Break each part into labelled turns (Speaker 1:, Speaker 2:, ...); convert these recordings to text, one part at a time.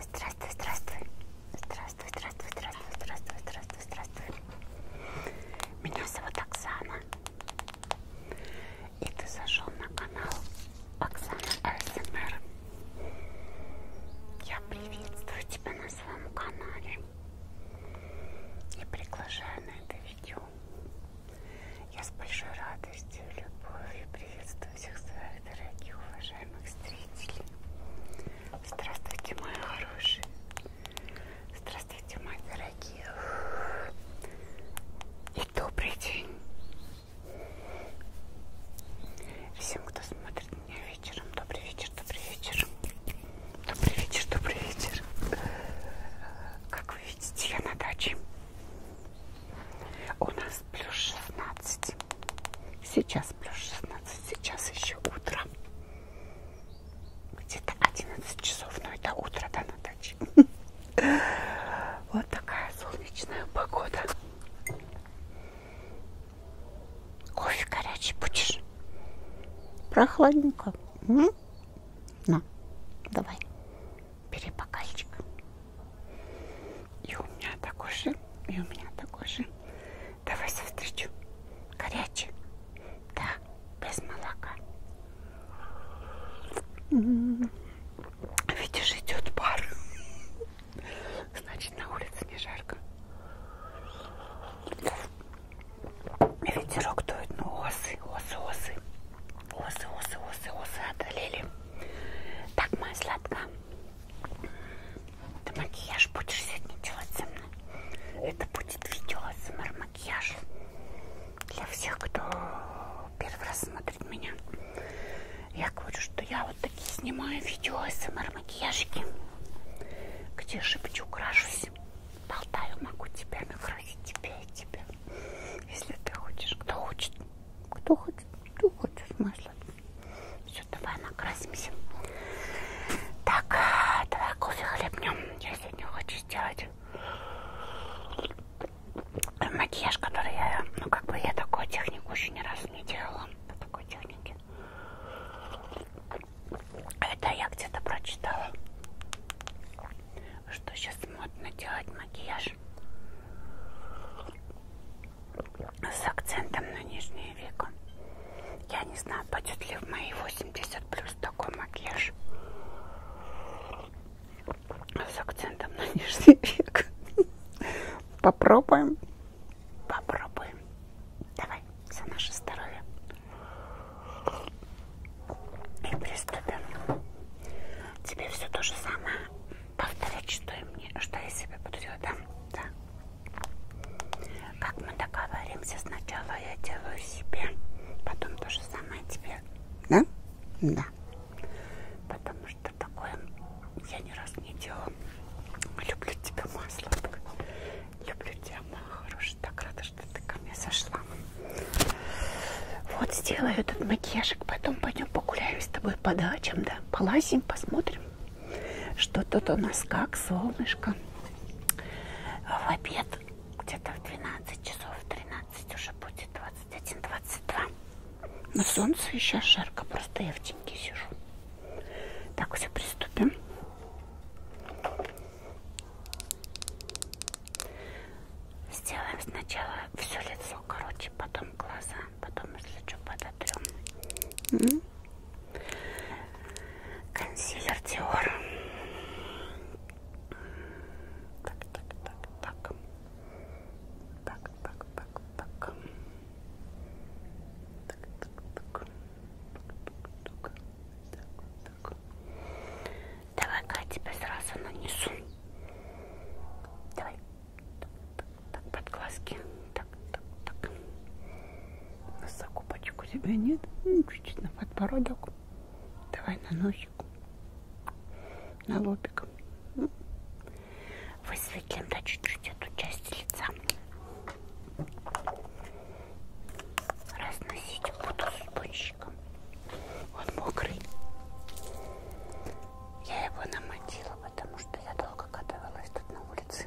Speaker 1: Здравствуй, здравствуй. Здравствуй, здравствуй, здравствуй, здравствуй, здравствуй, здравствуй. Меня зовут Оксана. И ты зашел на канал Оксана АСМР. Эм Я приветствую тебя на своем канале. И приглашаю на это видео. Я с большой радостью, любовью приветствую Приветствую всех своих дорогих, уважаемых зрителей. Здравствуйте, мои хорошие. Здравствуйте, мои дорогие. И добрый день. Всем, кто смотрит меня вечером. Добрый вечер, добрый вечер. Добрый вечер, добрый вечер. Как вы видите, я на даче. У нас плюс 16. Сейчас плюс 16. Сейчас еще утро. Где-то 11 часов, но это утро, да, на даче. Вот такая солнечная погода. Кофе горячий будешь? Прохладненько. На, давай. Бери бокальчик. И у меня такой же, и у меня такой же. Давай встречу. Горячий. Да, без молока. М-м-м. Видишь, идет пар. Значит, на улице не жарко. Ветерок дует, но ну, осы, осы, осы. Осы, осы, осы, осы одолели. Так, моя сладкая. Ты макияж будешь сегодня делать со мной? Это будет видео СМР макияж для всех, кто первый раз смотрит меня. Я говорю, что я вот такие снимаю видео СМР макияжики, где шепчу, крашусь, болтаю, могу тебя накрасить, тебя и тебя. Если ты хочешь, кто хочет, кто хочет, кто хочет, смысл. Все, давай накрасимся. Так, давай кофе хлебнем. Я сегодня хочу сделать макияж, который я, ну как бы я такую технику еще ни разу не делала. По такой технике. Это я где-то прочитала, что сейчас модно делать макияж с акцентом на нижнее веко. Я не знаю, пойдет ли в мои 80 плюс такой макияж с акцентом на нижний век. Попробуем. Попробуем. Давай, за наше здоровье. И приступим. Тебе все то же самое повторять, что и мне, что я себе буду делать, да? Да. Как мы договоримся, сначала я делаю себе, потом то же самое тебе. Да? Да. Потому что такое я ни разу не делала. Люблю тебя, масло. Люблю тебя, моя хорошая. Так рада, что ты ко мне сошла. Вот сделаю этот макияжик, потом пойдем погуляем с тобой по дачам, да? Полазим, посмотрим что тут у нас как солнышко в обед где-то в 12 часов 13 уже будет 21-22 но солнце еще жарко просто я в теньке сижу так все приступим сделаем сначала все лицо короче потом глаза потом если что подотрем консилер Dior. Так, так, так, так. Так, так, так, так. Так, так, так. Так, так, так. Давай-ка я тебе сразу нанесу. Давай. Так, под глазки. Так, так, так. Закупочек у тебя нет? Ну, чуть-чуть на подбородок. Давай на носик. На лобик. Ну. Высветлим, да, чуть-чуть эту часть лица. Разносить буду с пончиком. Он мокрый. Я его намотила, потому что я долго каталась тут на улице.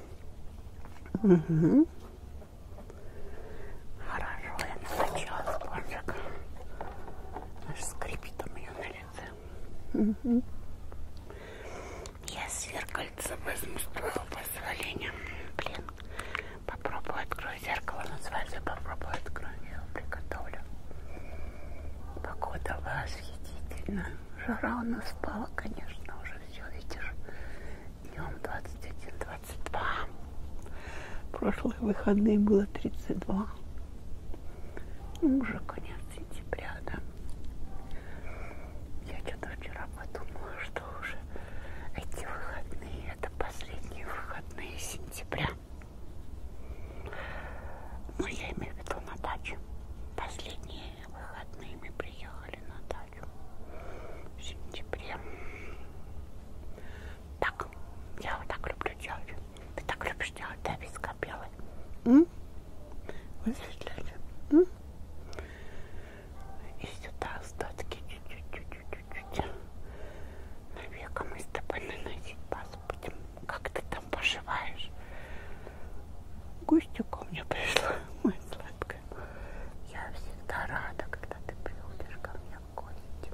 Speaker 1: Угу. Хорошо, я накачала спонжик. Аж скрипит у меня на лице. Угу. Я зеркальце возьму с твоего позволения. Блин, попробую открою зеркало. Называется попробую открою. Я его приготовлю. Погода восхитительна. Жара у нас спала, конечно, уже все, видишь. Днем 21-22. Прошлые выходные было 32. Ну, уже конец сентября, да. Я что-то вчера подумала, что уже эти выходные, это последние выходные сентября. Ну, я имею в виду на даче. Последние выходные мы приехали на дачу в сентябре. Так, я вот так люблю делать. Ты так любишь делать, да, виска белый? М? Высветляешь? М? И сюда остатки чуть-чуть-чуть-чуть. Навека мы с тобой наносить базу будем. Как ты там поживаешь? Гостья ко мне пришла, моя сладкая. Я всегда рада, когда ты приходишь ко мне в гости.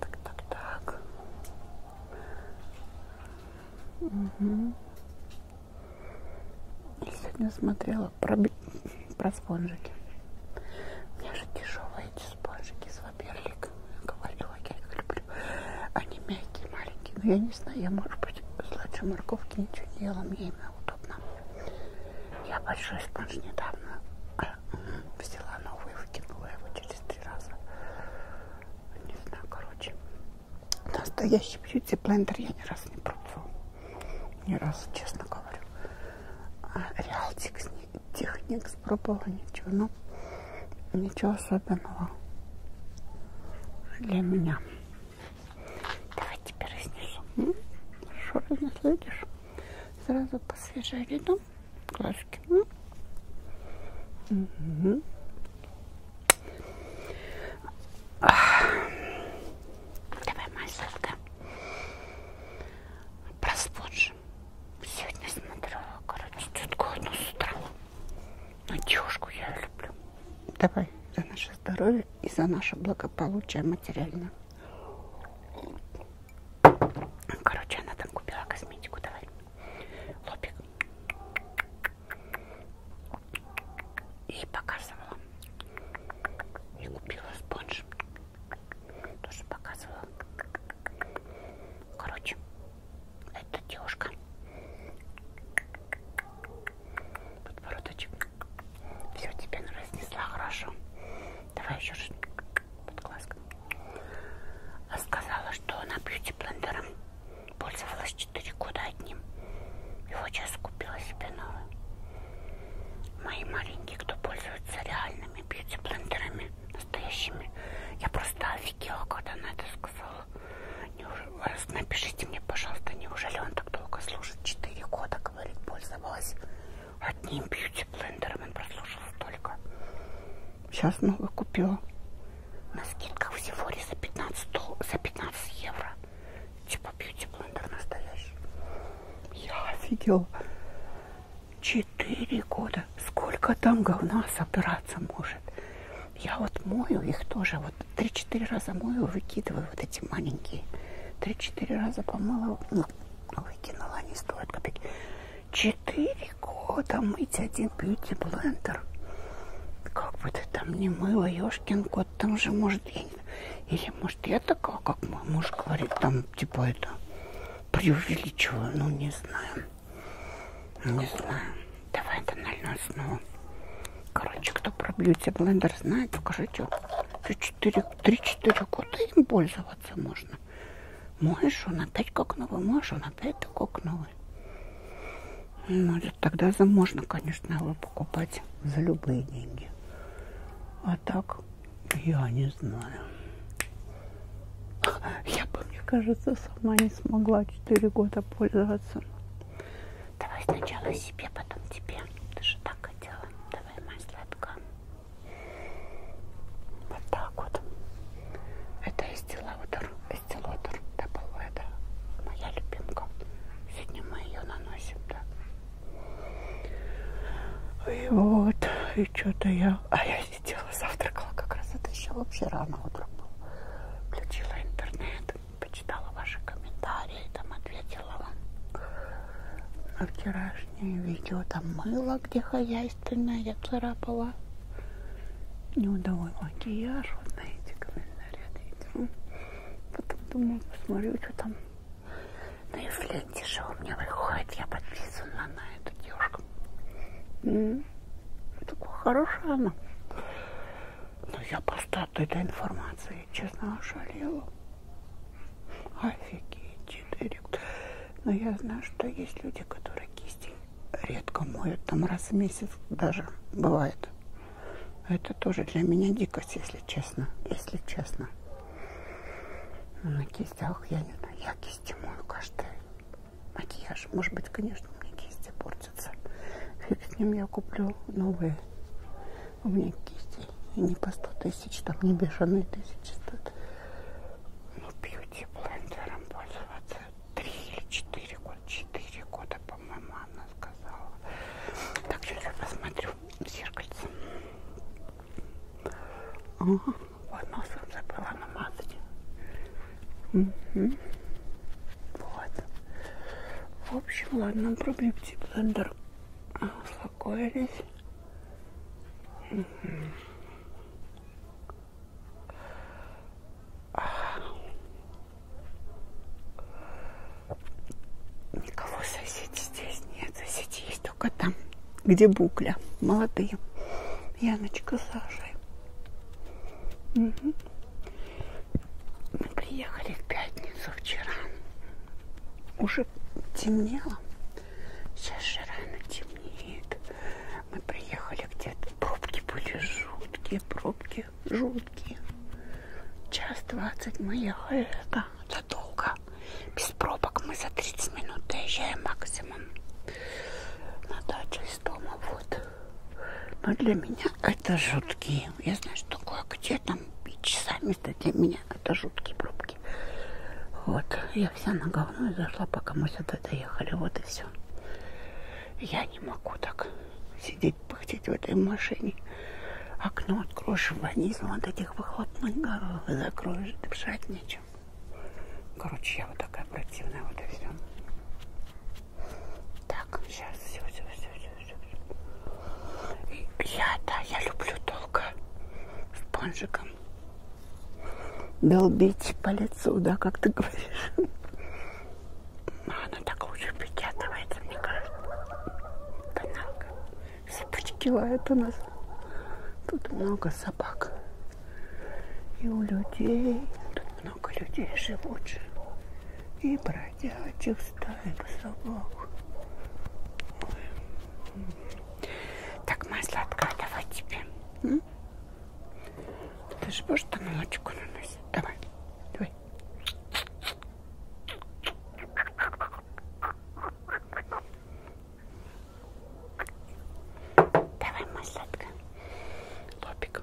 Speaker 1: Так, так, так. Угу. Я сегодня смотрела про, про спонжики. У меня же дешевые эти спонжики из Ваперлик. Я говорила, я их люблю люблю. Они мягкие, маленькие, но я не знаю, я, может быть, сладше морковки ничего не ела, мне именно удобно. Я большой спонж недавно а, взяла новый, выкинула его через три раза. Не знаю, короче. Настоящий бьюти-блендер я ни разу не пробовала. Ни разу, честно говорю. А Реалтикс, техник пробовала, ничего, но ну, ничего особенного для меня. Давай тебя разнесу. Хорошо разноследишь. Сразу посвежали, да? Глазки. Угу. Давай, моя сладкая. Проспоржим. Сегодня смотрю, короче, тетку одну с утра. Но девушку я люблю. Давай за наше здоровье и за наше благополучие материальное. Короче, она там купила косметику. Давай. Лобик. И показывала. И купила спонж. Тоже показывала. Короче, это девушка. Подбородочек. Все, тебе разнесла хорошо. Давай еще раз. Под глазком. А сказала, что она бьюти-блендером пользовалась 4 года одним. И вот сейчас купила себе новый. Мои маленькие, кто пользуется реальными бьюти-блендерами, настоящими. Я просто офигела, когда она это сказала. Неужели... Э, напишите мне, пожалуйста, неужели он так долго служит? Четыре года, говорит, пользовалась одним бьюти-блендером. Он прослушал столько. Сейчас новый купила. На скидках в Сифоре за 15, за 15 евро. Типа бьюти-блендер настоящий. Я офигела. Четыре года. Сколько там говна собраться может? я вот мою их тоже, вот 3-4 раза мою, выкидываю вот эти маленькие. 3-4 раза помыла, ну, ну выкинула, они стоят копейки. 4 года мыть один бьюти-блендер. Как бы ты там не мыла, ёшкин кот, там же, может, я не... Или, может, я такая, как мой муж говорит, там, типа, это, преувеличиваю, ну, не знаю. Не знаю. Давай тональную основу. Короче, кто про бьюти блендер знает, скажите, 3-4 года им пользоваться можно. Моешь он опять как новый, моешь он опять как новый. Ну, тогда за можно, конечно, его покупать за любые деньги. А так, я не знаю. Я бы, мне кажется, сама не смогла 4 года пользоваться. Давай сначала себе, потом тебе. Ты же так хотела. Давай, моя сладкая. Вот так вот. Это эстилаутер. Эстилотер. Дабл это моя любимка. Сегодня мы ее наносим, да. И вот, и что-то я... А я сидела, завтракала как раз. Это еще вообще рано утром было. Включила интернет почитала ваши комментарии, там ответила вам на вчерашнее видео. Там мыло, где хозяйственное, я царапала. Неудовой макияж, вот на эти комментарии ответила. Ну, потом думаю, посмотрю, что там на ленте же у меня выходит. Я подписана на эту девушку. Такая хорошая она. Но ну, я просто от этой информации, честно, ошалела. Офигеть, директ. Но я знаю, что есть люди, которые кисти редко моют, там раз в месяц даже бывает. Это тоже для меня дикость, если честно, если честно. Ну, на кистях я не знаю, я кисти мою каждый макияж. Может быть, конечно, мне кисти портят портятся. Фиг с ним я куплю новые. У меня кисти. И не по 100 тысяч, там не бешеные тысячи стоят. Ну, бьюти блендером пользоваться. Три или четыре года. Четыре года, по-моему, она сказала. Так, сейчас я посмотрю в зеркальце. Ага. Вот носом забыла намазать. Угу. Вот. В общем, ладно, проблепти блендер. Успокоились. Угу. Никого соседей здесь нет. Соседи есть только там, где букля. Молодые. Яночка с Сашей. Угу. Мы приехали в пятницу вчера. Уже темнело. Сейчас же рано темнеет. Мы приехали где-то. Пробки были жуткие, пробки жуткие. Час двадцать мы ехали. Это, это долго. Без пробок мы за 30 минут доезжаем максимум. На дачу из дома вот. Но для меня это жуткие. Я знаю, что такое, где там часами-то для меня. Это жуткие пробки. Вот. Я вся на говно зашла, пока мы сюда доехали. Вот и все. Я не могу так сидеть, пыхтеть в этой машине. Окно откроешь, ванизм от этих выхлопных горох закроешь, дышать нечем. Короче, я вот такая противная, вот и все. Так, сейчас все, все, все, все, все. Я, да, я люблю долго спонжиком долбить по лицу, да, как ты говоришь. Ну, Она так лучше печатывается, мне кажется. Каналка. Собачки лают у нас. Тут много собак. И у людей. Тут много людей живут. И брать ходячих стайк собак. Ой. Так, масло откатывать тебе. М? Ты же можешь там молочку наносить? Давай, давай. Давай, маслатка. Лобик.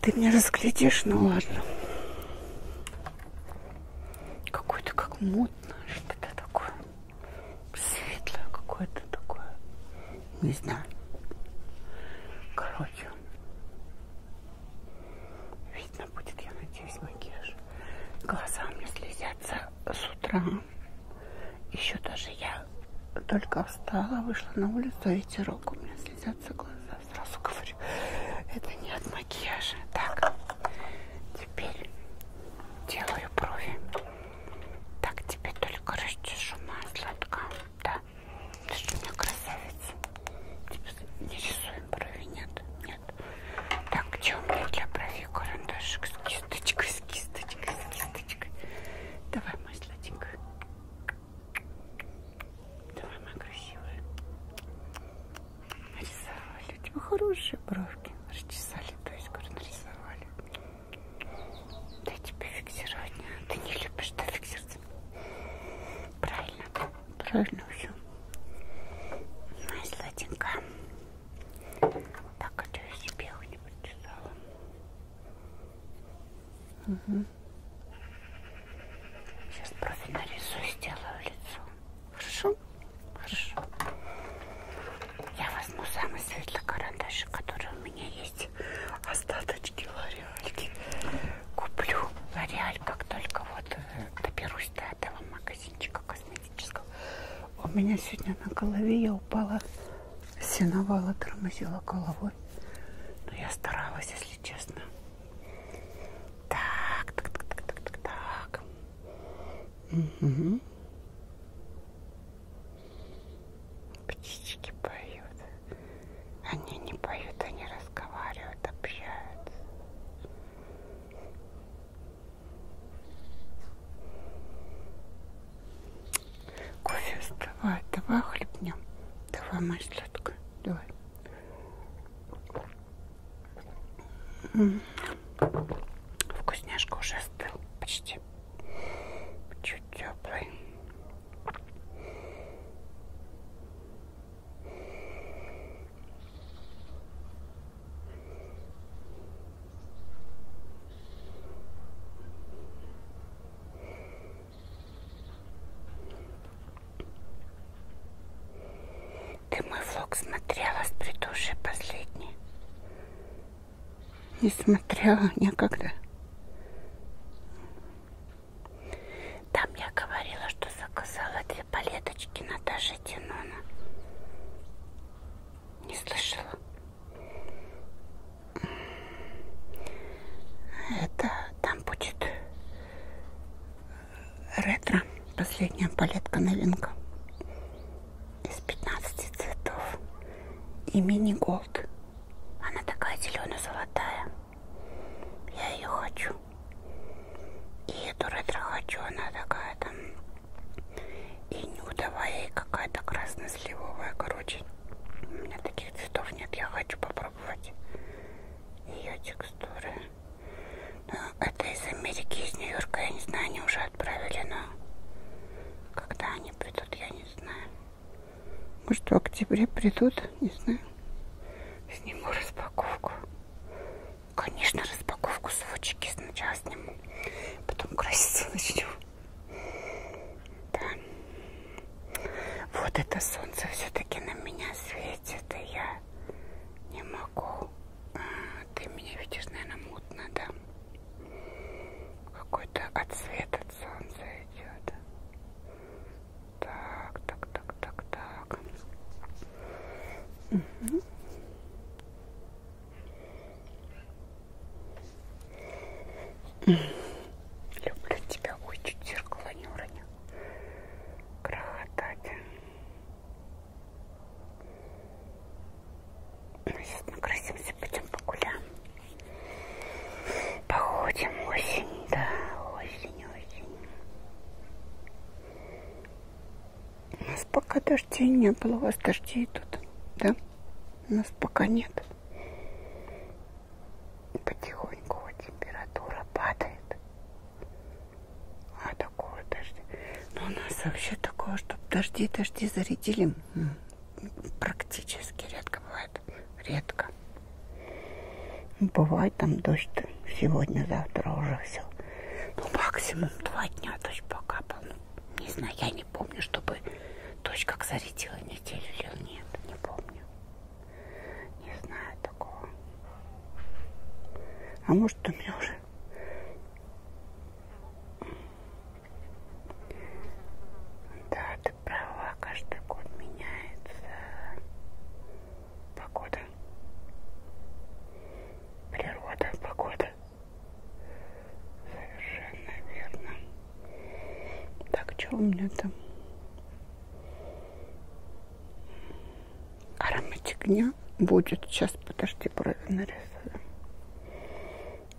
Speaker 1: Ты меня разглядишь, ну ладно. Какой-то как мутно, что-то такое. Светлое какое-то такое. Не знаю. Короче. Видно будет, я надеюсь, макияж. Глаза мне слезятся с утра. Еще даже я только встала, вышла на улицу, а ветерок у меня слезятся глаза сразу говорю, это не от макияжа. Так, теперь делаю брови. Так, теперь только расчешу масло. Да, ты что, у меня красавица. Типа, не рисуем брови, нет, нет. Так, где у меня для брови карандашик с кисточкой, с кисточкой, с кисточкой. Давай, мой сладенький. Давай, моя красивая. Нарисовали. У тебя хорошие бровки. Расчесали, то есть, говорю, нарисовали. Дай тебе фиксировать. Ты не любишь, да, фиксировать? Правильно. Правильно все. Моя сладенькая. Так, а то я себе не прочесала. Угу. Сейчас профиль нарисую, сделаю лицо. Хорошо? Хорошо. Я возьму самый светлый карандаш, который у меня есть. Остаточки лореальки. Куплю лореаль, как только вот э, доберусь до этого магазинчика косметического. У меня сегодня на голове я упала, синовала, тормозила головой. Но я старалась, если честно. Так, так, так, так, так, так, так. Угу. Птички поют. Они не поют, они разговаривают, общаются. Кофе вставай, давай хлебнем. Давай, моя сладкая, давай. Вкусняшка уже остыл почти. Чуть теплый. Ты мой влог смотрела с предыдущей последней? Не смотрела никогда. Там я говорила, что заказала две палеточки Наташи Тинона. Не слышала. Это там будет ретро. Последняя палетка новинка. Из 15 цветов. И мини-голд. Она такая зелено-золотая. Я ее хочу. И эту ретро хочу. Она такая там и нюдовая, и какая-то красно-сливовая. Короче, у меня таких цветов нет. Я хочу попробовать ее текстуры. Но ну, это из Америки, из Нью-Йорка, я не знаю, они уже отправили, но когда они придут, я не знаю. Может, в октябре придут, не знаю. Сниму распаковку. Конечно, распаковку сводчики сначала сниму, потом краситься начну. Да. Вот это солнце все-таки на меня светит, и я не могу. А, ты меня видишь, наверное, мутно, да? Какой-то отсвет от солнца идет. Так, так, так, так, так. Угу. Люблю тебя. Ой, чуть зеркало не уронил крохотать. Ну, сейчас накрасимся, пойдем погуляем. Походим осень, да, осень, осень. У нас пока дождей не было, у вас дождей тут, да? У нас пока нет и потихоньку вот температура падает. А такое дожди. Но ну, у нас вообще такое, что дожди, дожди зарядили практически редко бывает. Редко. Ну, бывает там дождь сегодня, завтра уже все. Ну, максимум два дня дождь покапал. Ну, не знаю, я не помню, чтобы дождь как зарядила неделю или нет. Не помню. Не знаю такого. А может у меня уже да, ты права, каждый год меняется погода. Природа, погода. Совершенно верно. Так, что у меня там? Ароматик дня будет. Сейчас, подожди, брови нарисую.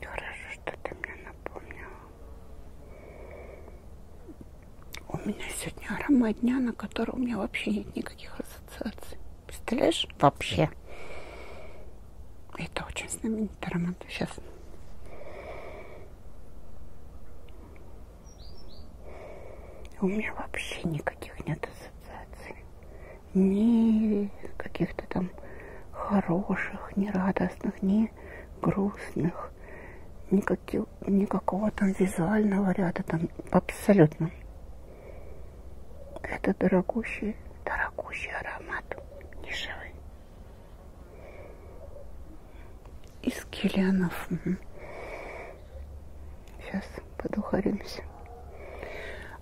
Speaker 1: Хорошо, что ты мне напомнила. У меня сегодня аромат дня, на который у меня вообще нет никаких ассоциаций. Представляешь? Вообще. Это очень знаменитый аромат. Сейчас. У меня вообще никаких нет ассоциаций. Ни каких-то там хороших, ни радостных, ни грустных. Никаких, никакого там визуального ряда там абсолютно. Это дорогущий, дорогущий аромат нишевый из килянов. Сейчас подухаримся.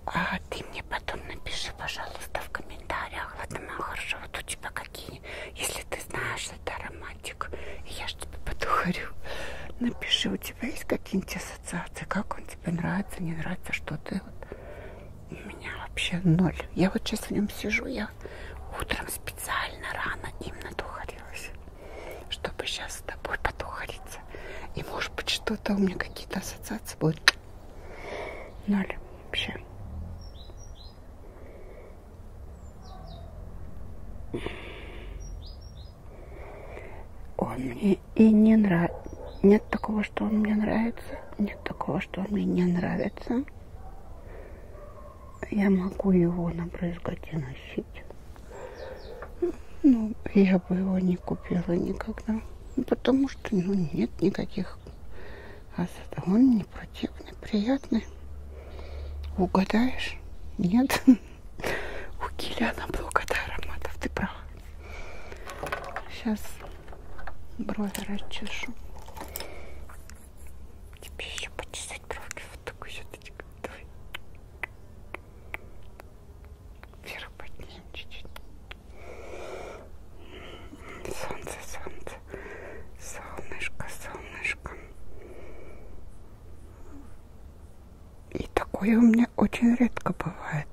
Speaker 1: А ты мне потом напиши, пожалуйста, в комментариях, Владимир, вот у тебя какие, если ты знаешь, это ароматик, я ж тебе подухарю. Напиши, у тебя есть какие-нибудь ассоциации, как он тебе нравится, не нравится, что ты вот. У меня вообще ноль. Я вот сейчас в нем сижу, я утром специально рано им надухарилась чтобы сейчас с тобой потухариться. И может быть что-то у меня какие-то ассоциации будут. Ноль вообще. Он мне и не нравится. Нет такого, что он мне нравится. Нет такого, что он мне не нравится я могу его на брызготе носить. Ну, я бы его не купила никогда. Ну, потому что, ну, нет никаких осад. Он не противный, приятный. Угадаешь? Нет. У Киляна блокота ароматов, ты прав. Сейчас брови расчешу. Тебе еще почесать бровки вот такой щеточкой. Давай. Вверх поднимем чуть-чуть. Солнце, солнце. Солнышко, солнышко. И такое у меня очень редко бывает.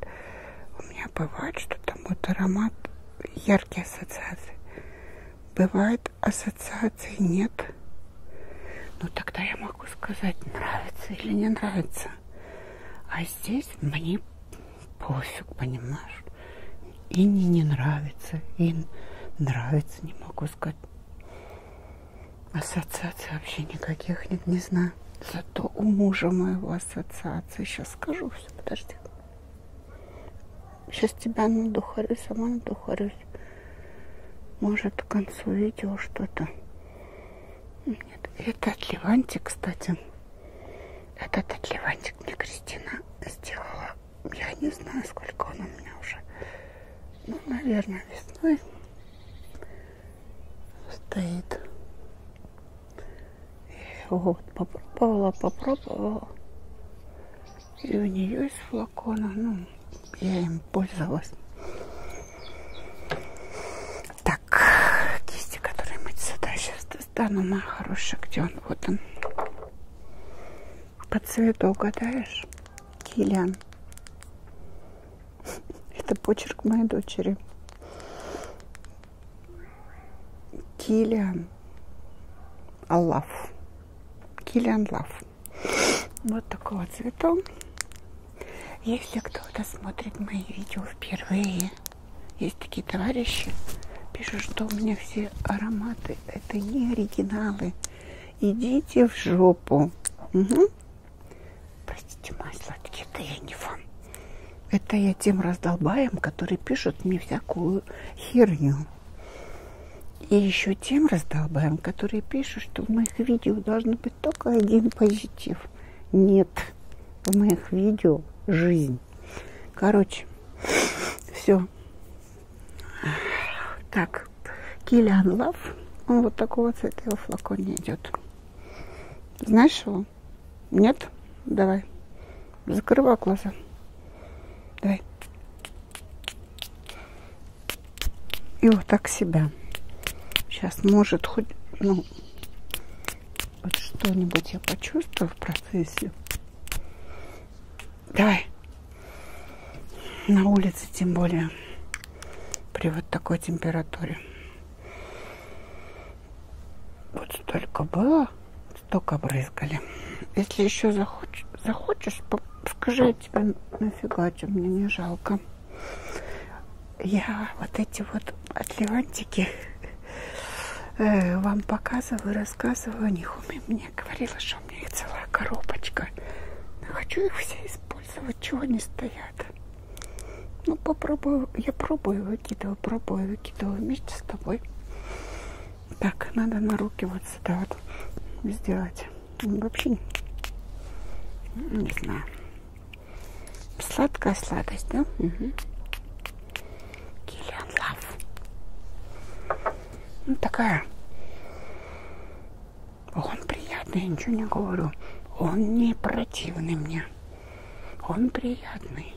Speaker 1: У меня бывает, что там вот аромат, яркие ассоциации. Бывает ассоциаций нет. Ну тогда я могу сказать, нравится или не нравится. А здесь мне пофиг, понимаешь? И не, не нравится, и нравится, не могу сказать. Ассоциаций вообще никаких нет, не знаю. Зато у мужа моего ассоциации. Сейчас скажу все, подожди. Сейчас тебя надухарю, сама надухарюсь. Может, к концу видео что-то. Нет, это от Ливанти, кстати. Этот от Ливанти мне Кристина сделала. Я не знаю, сколько он у меня уже. Ну, наверное, весной стоит. И вот, попробовала, попробовала. И у нее из флакона, ну, я им пользовалась. Так, кисти, которые мы сюда сейчас достану, моя хорошая, где он? Вот он. По цвету угадаешь? Киллиан. Это почерк моей дочери. Киллиан Аллаф. Киллиан Лав. Вот такого цвета. Если кто-то смотрит мои видео впервые, есть такие товарищи, пишут, что у меня все ароматы это не оригиналы. Идите в жопу. Угу. Простите, мои сладкие, это я не вам. Это я тем раздолбаем, которые пишут мне всякую херню. И еще тем раздолбаем, которые пишут, что в моих видео должен быть только один позитив. Нет, в моих видео жизнь. Короче, все. Так, Киллиан Лав, он вот такого цвета его флаконе идет. Знаешь его? Нет? Давай. Закрывай глаза. Давай. И вот так себя. Сейчас может хоть, ну, вот что-нибудь я почувствую в процессе. Давай. На улице тем более. При вот такой температуре. Вот столько было, столько брызгали. Если еще захочешь, захочешь скажи, я тебе нафигачу, мне не жалко. Я вот эти вот атлантики э, вам показываю, рассказываю о них. Мне говорила, что у меня их целая коробочка. Но хочу их все использовать, чего они стоят. Ну, попробую, я пробую, выкидываю, пробую, выкидываю вместе с тобой. Так, надо на руки вот сюда вот сделать. Вообще не знаю. Сладкая сладость, да? Угу. Киллиан Лав. Ну, такая. Он приятный, я ничего не говорю. Он не противный мне. Он приятный.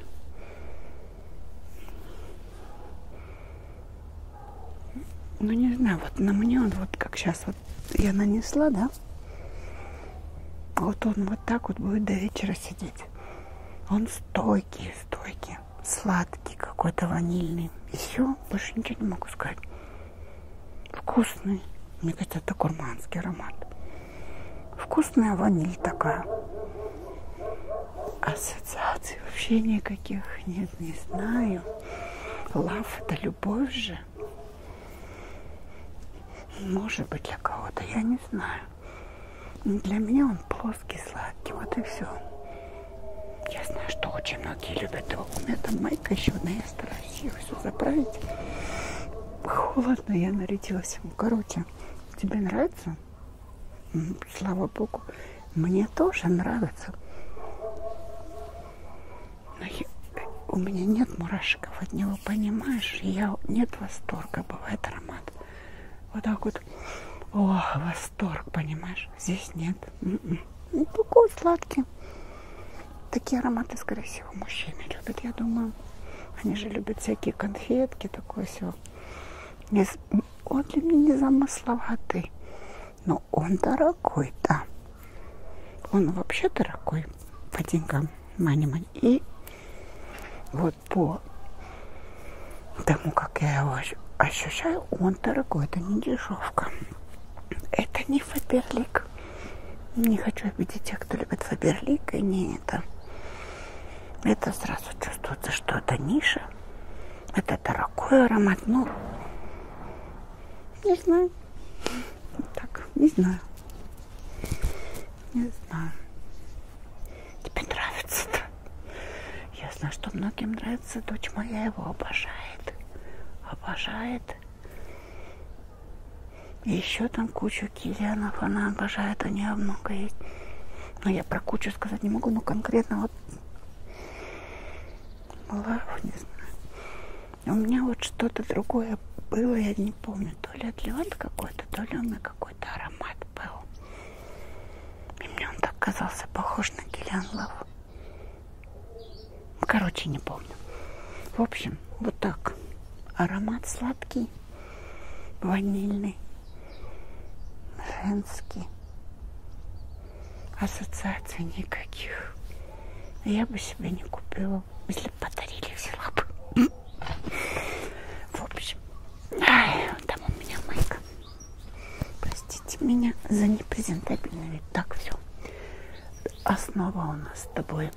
Speaker 1: Ну, не знаю, вот на мне он вот как сейчас вот вот я нанесла, да? Вот он вот так вот будет до вечера сидеть. Он стойкий, стойкий, сладкий какой-то, ванильный. И все, больше ничего не могу сказать. Вкусный. Мне кажется, это гурманский аромат. Вкусная ваниль такая. Ассоциаций вообще никаких нет, не знаю. Лав – это любовь же. Может быть для кого-то, я не знаю. Для меня он плоский, сладкий, вот и все. Я знаю, что очень многие любят его. У меня там майка еще одна, я стараюсь ее все заправить. Холодно, я нарядилась. Короче, тебе нравится? Слава богу, мне тоже нравится. Но я, у меня нет мурашек от него, понимаешь? Я нет восторга, бывает аромат. Вот так вот. О, восторг, понимаешь? Здесь нет. М-м. Ну, такой сладкий. Такие ароматы, скорее всего, мужчины любят, я думаю. Они же любят всякие конфетки, такое все. Он для меня незамысловатый. Но он дорогой-то. Он вообще дорогой по деньгам мани-мани. И вот по тому, как я его ощущаю, он дорогой. Это не дешевка. Это не Фаберлик. Не хочу обидеть тех, кто любит Фаберлик, и не это. Это сразу чувствуется, что это ниша. Это дорогой аромат, но ну, не знаю. Так, не знаю. Не знаю. Тебе нравится-то? Я знаю, что многим нравится. Дочь моя его обожает. Обожает. И еще там кучу Кирианов она обожает, у нее много есть. Но я про кучу сказать не могу, но конкретно вот малаху, не знаю. У меня вот что-то другое было, я не помню, то ли атлет какой-то, то ли у меня какой-то аромат был. И мне он так казался похож на Киллиан Лав. Короче, не помню. В общем, вот так. Аромат сладкий, ванильный, женский. Ассоциаций никаких. Я бы себе не купила. Если бы подарили, взяла бы. В общем, ай, там у меня майка. Простите меня за непрезентабельный вид. Так, все. Основа у нас с тобой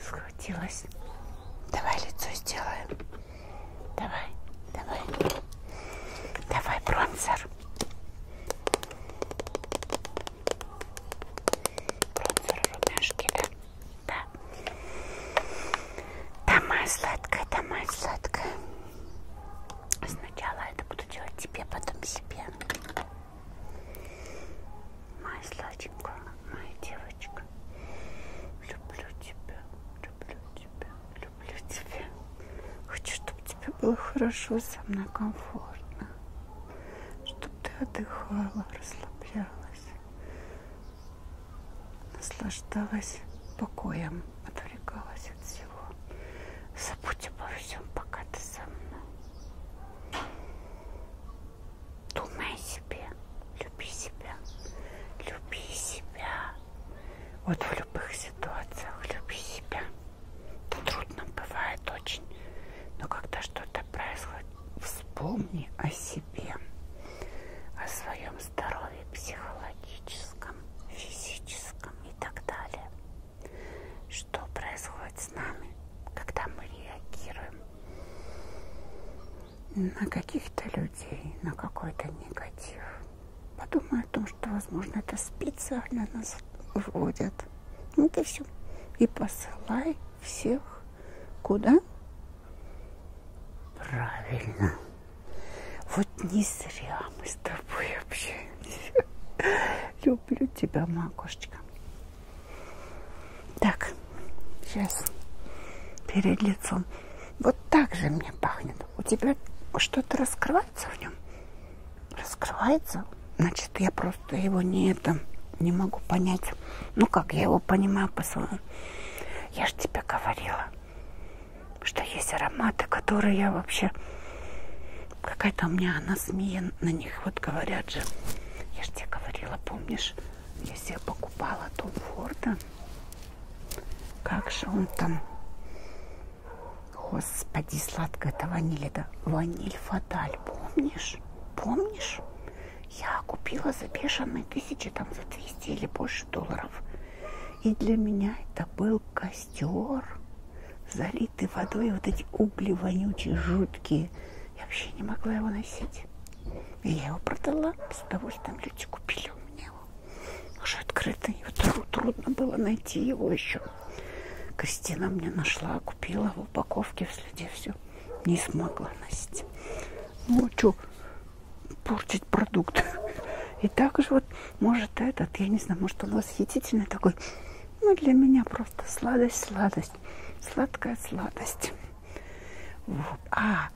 Speaker 1: схватилась. Давай лицо сделаем. Давай, давай. Давай бронзер. Крокфер рубашки, да? Да. Домой сладкая, домой сладкая. Сначала это буду делать тебе, потом себе. Моя сладенькая, моя девочка. Люблю тебя, люблю тебя, люблю тебя. Хочу, чтобы тебе было хорошо, со мной комфортно. Чтобы ты отдыхала, расслаблялась. Наслаждалась покоем, отвлекалась от всего. Забудь обо всем, пока ты со мной. Думай о себе, люби себя, люби себя. Вот в любых ситуациях люби себя трудно бывает очень. Но когда что-то происходит, вспомни о себе, о своем здоровье психологическом, физическом и так далее. Что происходит с нами, когда мы реагируем на каких-то людей, на какой-то негатив. Подумай о том, что, возможно, это специально нас вводят. Вот и все. И посылай всех куда? Правильно. Вот не зря мы с тобой общаемся. Люблю тебя, макушечка. Так, сейчас перед лицом. Вот так же мне пахнет. У тебя что-то раскрывается в нем? раскрывается, значит, я просто его не это не могу понять. Ну как, я его понимаю по-своему. Я же тебе говорила, что есть ароматы, которые я вообще... Какая-то у меня анасмия на них, вот говорят же. Я же тебе говорила, помнишь, я себе покупала Том Форда. Как же он там Господи, сладкая это ваниль, это ваниль фаталь, помнишь? Помнишь? Я купила за бешеные тысячи, там за 200 или больше долларов. И для меня это был костер, залитый водой, вот эти угли вонючие, жуткие. Я вообще не могла его носить. И я его продала, с удовольствием люди купили у меня его. Уже открытый, его трудно было найти его еще. Кристина мне нашла, купила в упаковке в следе все. Не смогла носить. Ну, а что, портить продукт. И также вот, может, этот, я не знаю, может, он восхитительный такой. Ну, для меня просто сладость, сладость. Сладкая сладость. Вот. А,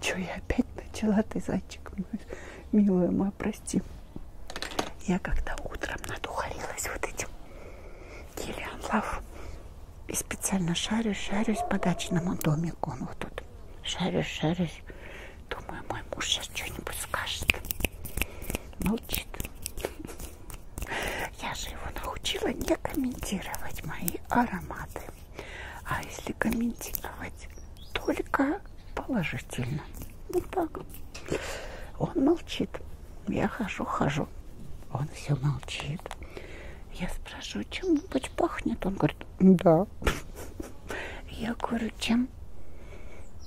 Speaker 1: что я опять начала, ты, зайчик мой, милая моя, про прости. Я когда утром надухарилась вот этим Киллиан Лав и специально шарюсь, шарюсь по дачному домику. Он ну, вот тут шарюсь, шарюсь. Думаю, мой муж сейчас что-нибудь скажет. Молчит. Я же его научила не комментировать мои ароматы. А если комментировать, только положительно. Ну так. Он молчит. Я хожу, хожу. Он все молчит. Я спрашиваю, чем-нибудь пахнет? Он говорит, да. Я говорю, чем?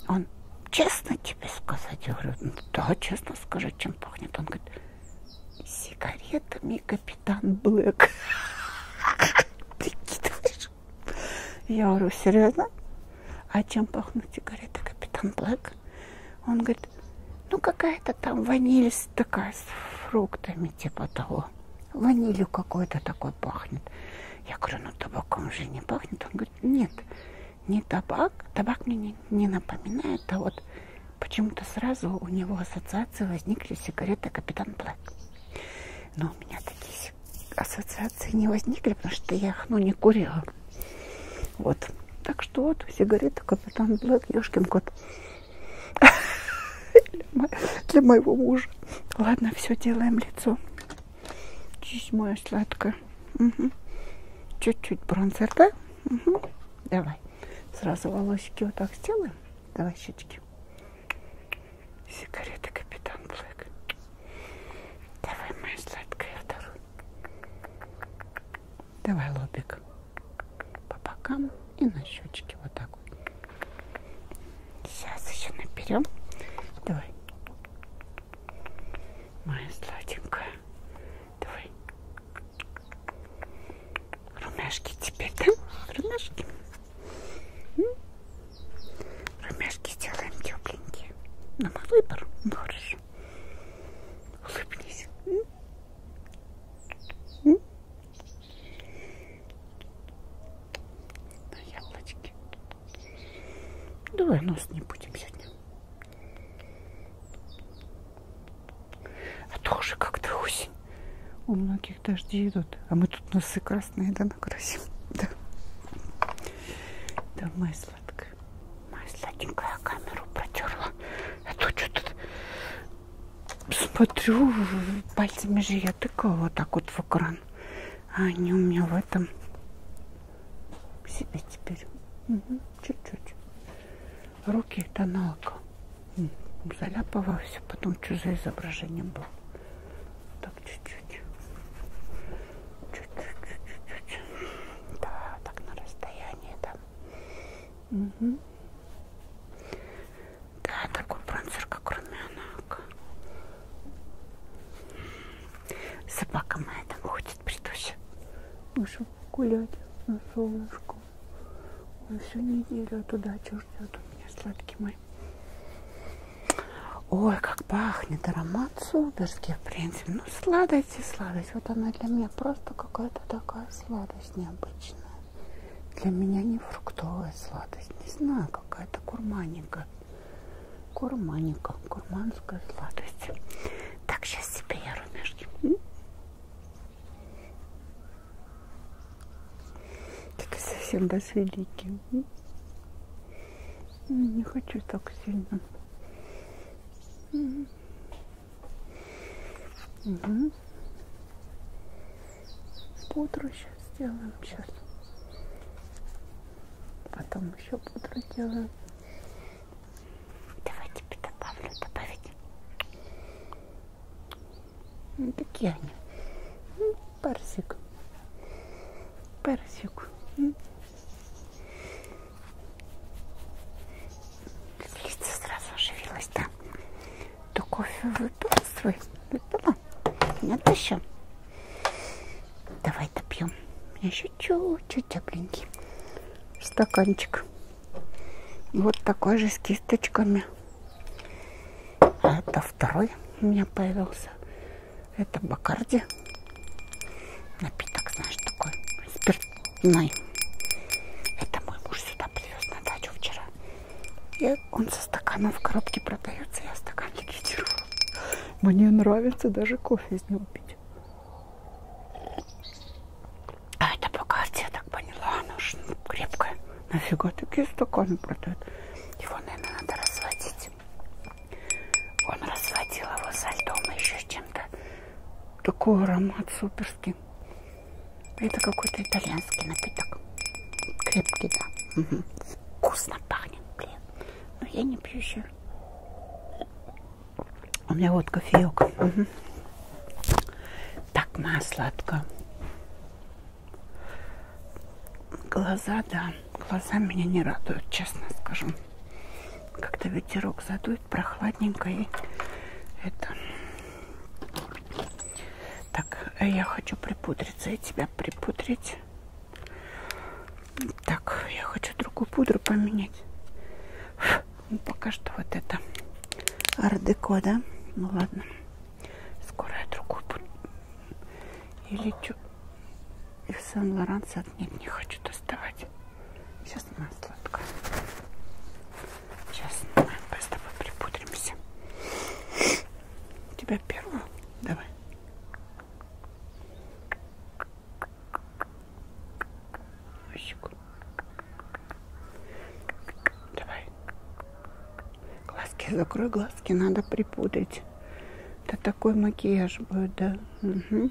Speaker 1: Он, честно тебе сказать? Я говорю, ну, да, честно скажи, чем пахнет. Он говорит, сигаретами капитан Блэк. Прикидываешь? Я говорю, серьезно? А чем пахнут сигареты, капитан Блэк? Он говорит, ну какая-то там ваниль такая с фруктами типа того. Ванилью какой-то такой пахнет. Я говорю, ну табаком же не пахнет. Он говорит, нет, не табак. Табак мне не, не напоминает, а вот почему-то сразу у него ассоциации возникли сигареты Капитан Блэк. Но у меня такие ассоциации не возникли, потому что я их, ну, не курила. Вот. Так что вот сигарета Капитан Блэк, Ёшкин кот. Для моего мужа. Ладно, все, делаем лицо. Честь моя сладкая. Чуть-чуть бронзер, да? Угу. Давай. Сразу волосики вот так сделаем. Давай щечки. Сигареты Капитан Блэк. Давай, моя сладкая, вторую. Давай лобик по бокам и на щечке вот так вот. Сейчас еще наберем. Давай. Моя сладенькая. Давай. Румяшки теперь, да? Румяшки. Румяшки сделаем тепленькие. На мой выбор. Ну, хорошо улыбнись. Улыбнись. На яблочке. Давай нос не будем сегодня. А то уже как-то осень. У многих дожди идут. А мы тут носы красные, да, накрасим. Да. Давай, сладкая. Моя сладенькая камеру протерла. А то что-то смотрю, пальцами же я тыкаю вот так вот в экран. А они у меня в этом себе теперь. Чуть-чуть. Угу. Руки это налка. Заляпала все, потом что за изображение было. Так чуть-чуть чуть-чуть, да, так на расстоянии, да. Угу. Да, такой бронзер, как румянок. Собака моя там ходит, притуся. Наша гулять на солнышко. Он всю неделю туда чего ждет у меня, сладкий мой. Ой, как пахнет аромат сударский, в принципе. Ну, сладость сладость и сладость. Вот она для меня просто какая-то такая сладость необычная. Для меня не фруктовая сладость. Не знаю, какая-то курманика. Курманика, курманская сладость. Так, сейчас себе я румяшки. Это совсем газ-великий. Не хочу так сильно. Угу. Угу. Пудру сейчас сделаем, сейчас. Потом еще пудру делаем. Давайте добавлю, добавить. Ну, такие они. Ну, парсик. Парсик. Лицо сразу оживилось, да? То кофе выпила свой? Выпила? Нет еще? Давай допьем. Еще чуть-чуть тепленький. Стаканчик. Вот такой же с кисточками. А это второй у меня появился. Это Бакарди. Напиток, знаешь, такой спиртной. Это мой муж сюда привез на дачу вчера. И он со стаканом в коробке продается, я стакан ликвидирую. Мне нравится даже кофе из него пить. А это богатство, я так поняла, она же ну, крепкая. Нафига такие стаканы продают? Его, наверное, надо разводить. Он разводил его со льдом и еще чем-то. Такой аромат суперский. Это какой-то итальянский напиток. Крепкий, да. Угу. Вкусно пахнет, блин. Но я не пью еще. У меня вот кофеек. Угу. Так, маслатка. Глаза, да. Глаза меня не радуют, честно скажу. Как-то ветерок задует будет прохладненько и это. Так, я хочу припудриться и тебя припудрить. Так, я хочу другую пудру поменять. Ну, пока что вот это ардеко, да? Ну ладно. Скоро я другую буду. Или что? И в Сан-Лоранса нет, не хочу доставать. Сейчас снимаем сладко. Сейчас снимаем, мы с тобой припудримся. Тебя первую? Давай. Щеку. Давай. Глазки закрой, глазки надо припудрить. Это такой макияж будет, да? Угу.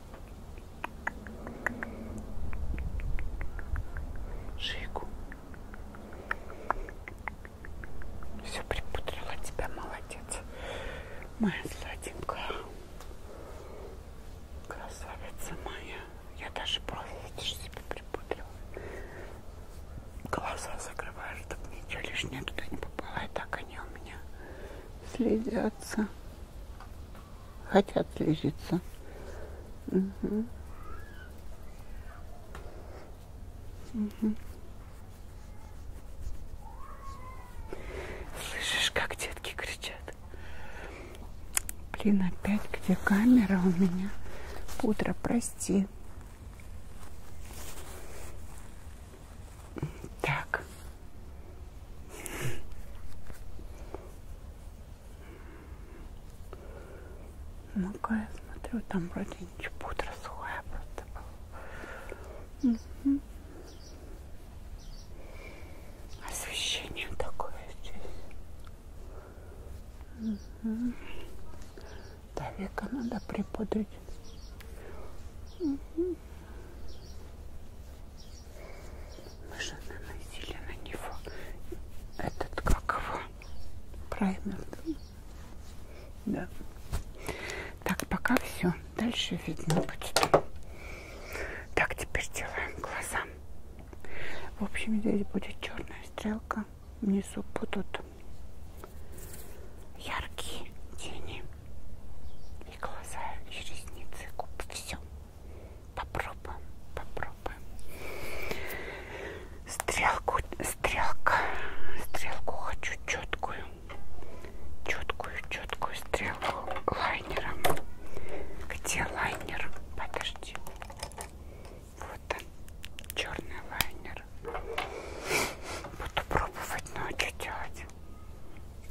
Speaker 1: Шейку. Все припудрила тебя, молодец. Моя сладенькая. Красавица моя. Я даже брови, видишь, себе припудрила. Глаза закрываю, чтобы ничего лишнее туда не попало. И так они у меня следятся хотят лечиться. Угу. Угу. Слышишь, как детки кричат? Блин, опять где камера у меня? Пудра, прости. Так. Ну-ка, я смотрю, там вроде ничего пудра сухая просто была. Угу. Освещение такое здесь. Угу. Да, века надо припудрить. Угу. Мы же наносили на него этот, как его, праймер. Да. Так, пока все. Дальше видно будет. Так, теперь делаем глаза. В общем, здесь будет черная стрелка. Внизу будут яркие тени. И глаза, и ресницы, и губы. Все. Попробуем, попробуем. Стрелку, стрелка, стрелку хочу четкую, четкую, четкую стрелку лайнером. Где лайнер? Подожди. Вот он, черный лайнер. Буду пробовать, но что делать?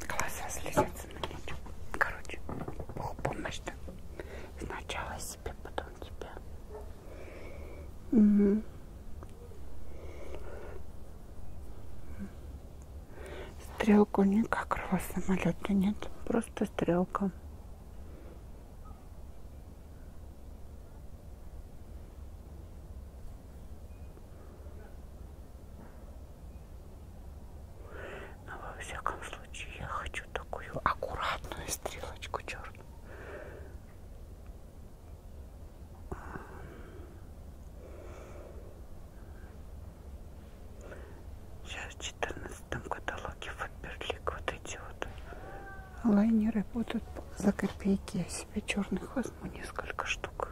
Speaker 1: Глаза слезятся на меня. Короче, помощь-то. Сначала себе, потом тебя. Угу. Стрелку никак рва самолета нет, просто стрелка. Но а во всяком случае я хочу такую аккуратную стрелочку черную. Сейчас в 14 каталоге Фаберлик вот эти вот лайнеры будут за копейки. Я себе черных возьму несколько штук.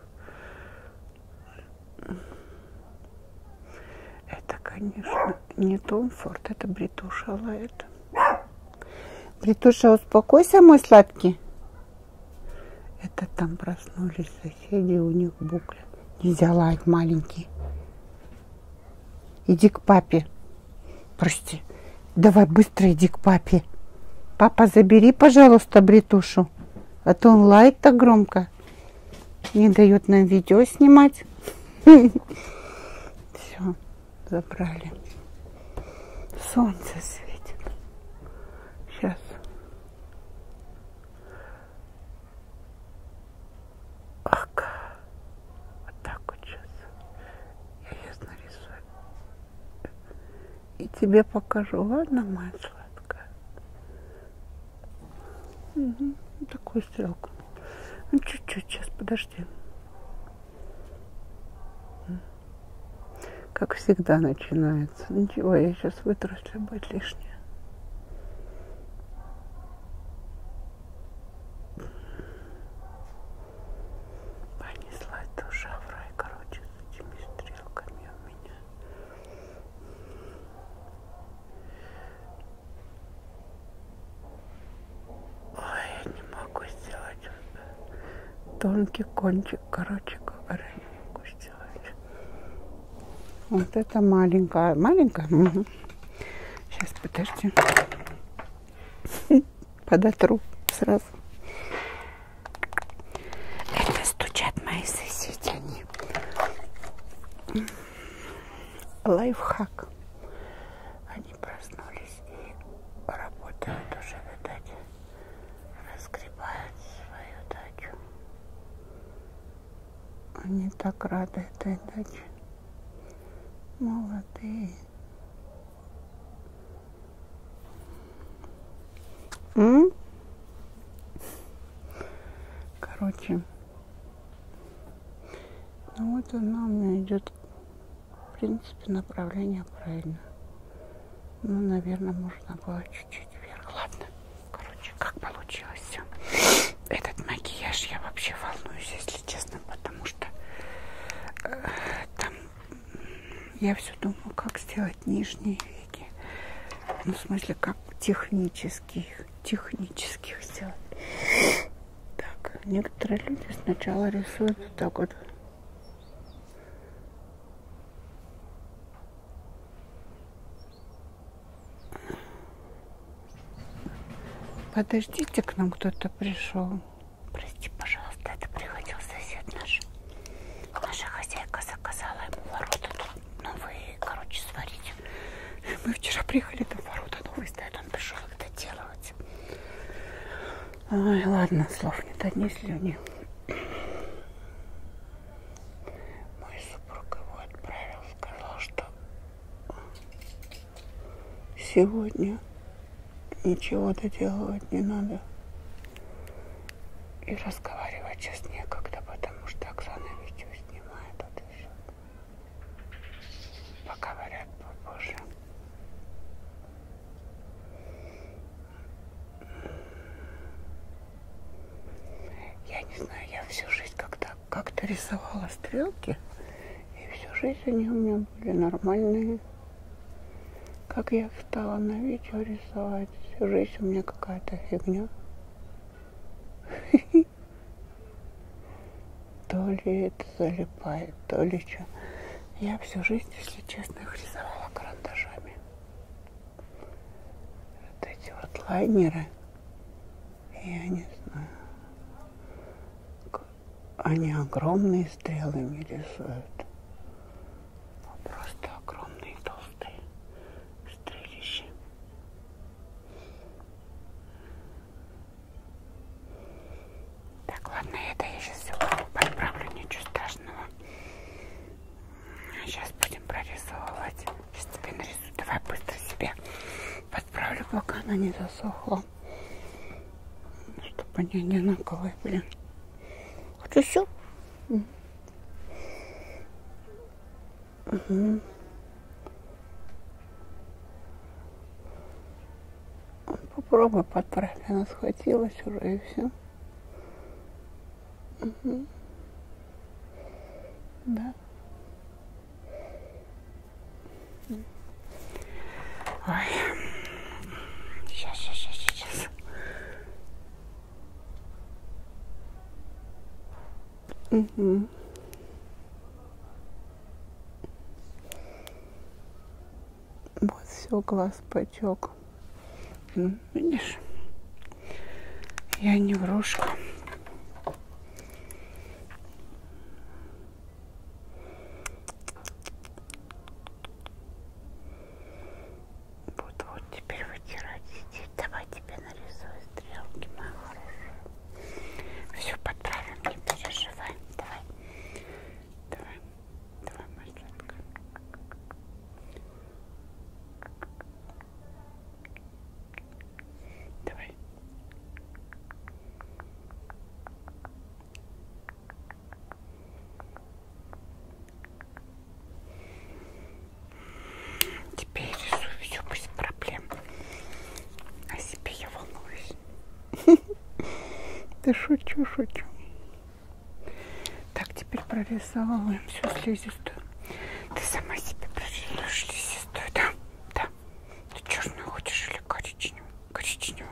Speaker 1: Это, конечно, не Том Форд, это Бритуша лает. Бритуша, успокойся, мой сладкий. Это там проснулись соседи, у них букля. Нельзя лаять, маленький. Иди к папе. Прости. Давай быстро иди к папе. Папа, забери, пожалуйста, Бритушу. А то он лает так громко. Не дает нам видео снимать. Все, забрали. Солнце светит. Сейчас. тебе покажу. Ладно, моя сладкая? Угу. Такую стрелку. Ну, чуть-чуть, сейчас, подожди. Как всегда начинается. Ничего, я сейчас вытру, если будет лишнее. Ой, я не могу сделать тонкий кончик, короче говоря, не могу сделать. Вот это маленькая, маленькая. Угу. Сейчас подожди, подотру сразу. Это стучат мои соседи, они лайфхак. Они проснулись и работают уже, видать, разгребают свою дачу. Они так рады этой даче. Молодые. М? Короче, ну вот она у меня идет, в принципе, направление правильно. Ну, наверное, можно было чуть-чуть вверх. Ладно, короче, как получилось все. Этот макияж я вообще волнуюсь, если честно, потому что э, там я все думаю, как сделать нижние веки. Ну, в смысле, как технических, технических сделать. Так, некоторые люди сначала рисуют вот так вот. Подождите, к нам кто-то пришел. Прости, пожалуйста, это приходил сосед наш. Наша хозяйка заказала ему ворота тут новые, ну, короче, сварить сегодня. Мы вчера приехали, там ворота новые стоят, он пришел это делать. Ой, ладно, слов нет, одни слюни. Мой супруг его отправил, сказал, что сегодня ничего доделывать не надо. И разговаривать сейчас некогда, потому что Оксана видео снимает, вот и все поговорят попозже. Я не знаю, я всю жизнь как-то как-то рисовала стрелки, и всю жизнь они у меня были нормальные. Как я встала на видео рисовать, всю жизнь у меня какая-то фигня. то ли это залипает, то ли что. Я всю жизнь, если честно, их рисовала карандашами. Вот эти вот лайнеры, я не знаю, они огромные стрелы мне рисуют. Просто огромные толстые стрелища. Так, ладно, это я сейчас все подправлю, ничего страшного. Сейчас будем прорисовывать. Сейчас тебе нарисую. Давай быстро себе подправлю, пока она не засохла. Чтобы они одинаковые, блин. Хочу все. Угу. Попробуй подправь. Она схватилась уже и все. Угу. Да. Ой. Сейчас, сейчас, сейчас, сейчас. Угу. Вот все, глаз потек. Ну, видишь? Я не врушка. Вот, вот теперь вытирать сидеть. Давай тебе нарисую стрелки, моя хорошая. Все подправим, не переживай. Давай. Давай. Давай, Марленка. Давай. Теперь решу все без проблем. О а себе я волнуюсь. Да шучу, шучу. Так, теперь прорисовываем всю слизистую. Ты сама себе прорисуешь слизистую, да? Да. Ты черную хочешь или коричневую? Коричневую.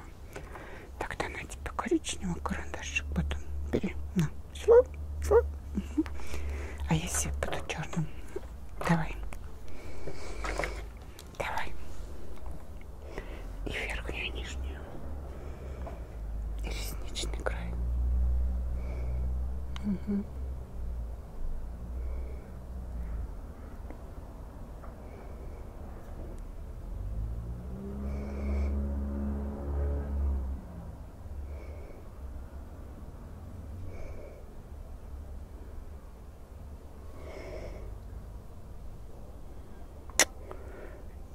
Speaker 1: Тогда на тебе коричневый карандашик потом бери. На. Все, все. Угу. А я себе буду черным. Давай. Давай. И верхнюю, и нижнюю. И ресничный край. Угу.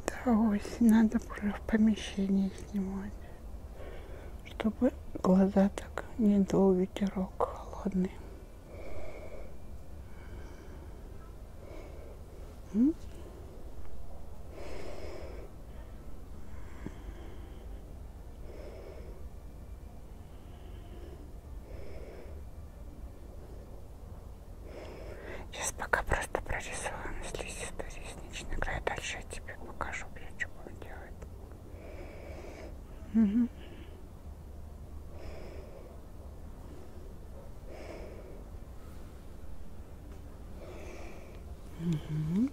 Speaker 1: Да, ось, надо уже в помещении снимать, чтобы глаза так не дул ветерок холодный. М? Сейчас пока просто прорисовываем слизистый ресничный край. Дальше я тебе покажу, я что буду делать. Угу. Угу.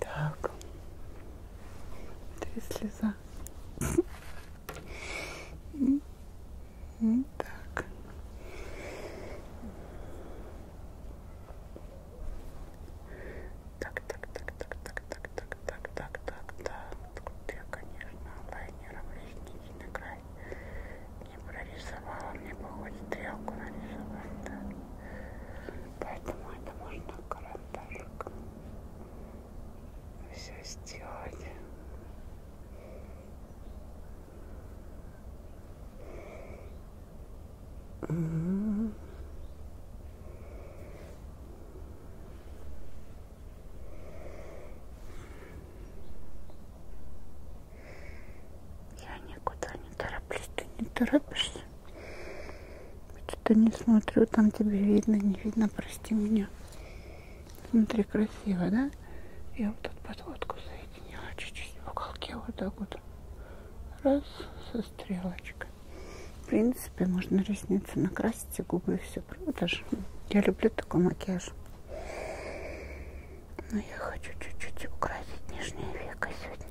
Speaker 1: Так. Три слеза. Так. Так, так, так, так, так, так, так, так, так, так, так. Тут я, конечно, лайнером ресничный край не прорисовала. Мне бы хоть стрелку нарисовать, да. Поэтому это можно карандашиком все сделать. Угу. Я никуда не тороплюсь, ты не торопишься. Что-то не смотрю, там тебе видно, не видно, прости меня. Смотри, красиво, да? Я вот тут подводку соединила чуть-чуть в уголке, вот так вот. Раз, со стрелочкой. В принципе, можно ресницы накрасить и губы, и все, правда же? Я люблю такой макияж. Но я хочу чуть-чуть украсить нижнее веко сегодня.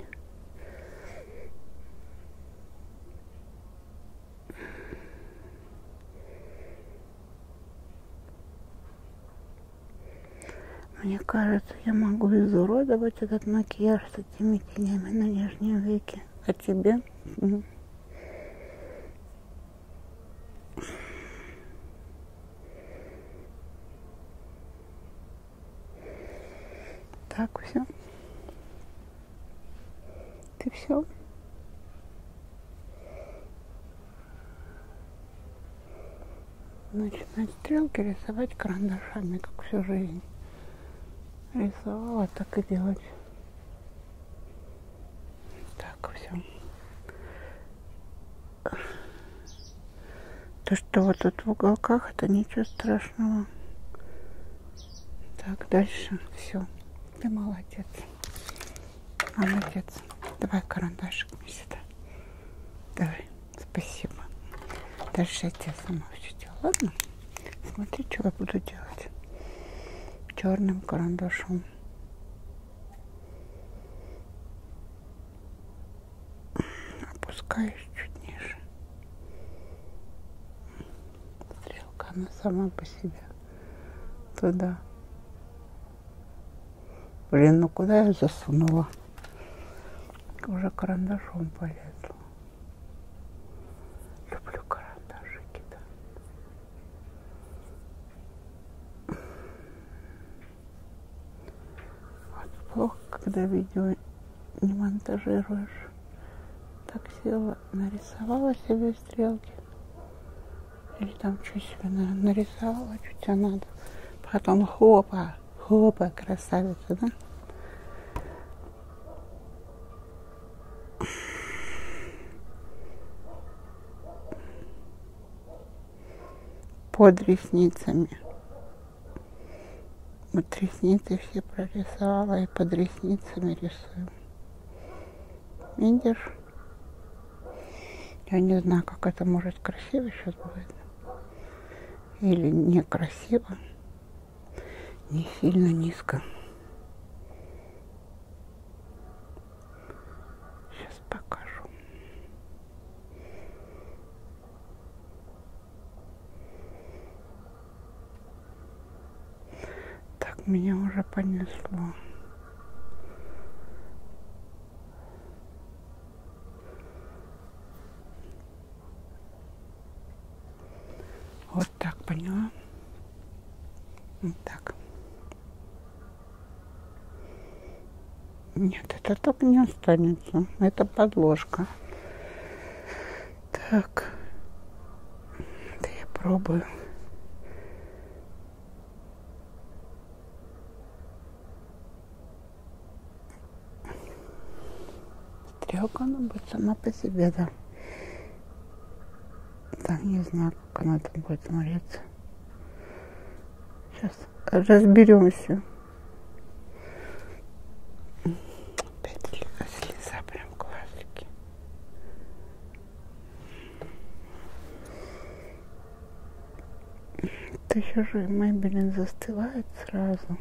Speaker 1: Мне кажется, я могу изуродовать этот макияж с этими тенями на нижнем веке. А тебе? Так, все. Ты все? Начинать стрелки рисовать карандашами, как всю жизнь. Рисовала, так и делать. Так, все. То, что вот тут в уголках, это ничего страшного. Так, дальше все. Ты молодец. А, молодец. Давай карандашик мне сюда. Давай. Спасибо. Дальше я тебе сама все делаю. Ладно? Смотри, что я буду делать. Черным карандашом. Опускаюсь чуть ниже стрелка, она сама по себе туда. Блин, ну куда я засунула? Уже карандашом полезла. Люблю карандашики, да. Вот плохо, когда видео не монтажируешь. Так села что нарисовала себе стрелки. Или там что себе нарисовала, что тебе надо. Потом хопа, хопа, красавица, да? под ресницами. Вот ресницы все прорисовала и под ресницами рисую. Видишь? Я не знаю, как это может красиво сейчас будет. Или некрасиво. Не сильно низко. Сейчас покажу. Так, меня уже понесло. Вот так, поняла? Вот так. Нет, это так не останется. Это подложка. Так, да я пробую. Стрелка, она ну, будет сама по себе, да. Так, не знаю, как она там будет смотреться. Сейчас разберемся. Опять слеза прям классики. Тысяча же мебель застывает сразу.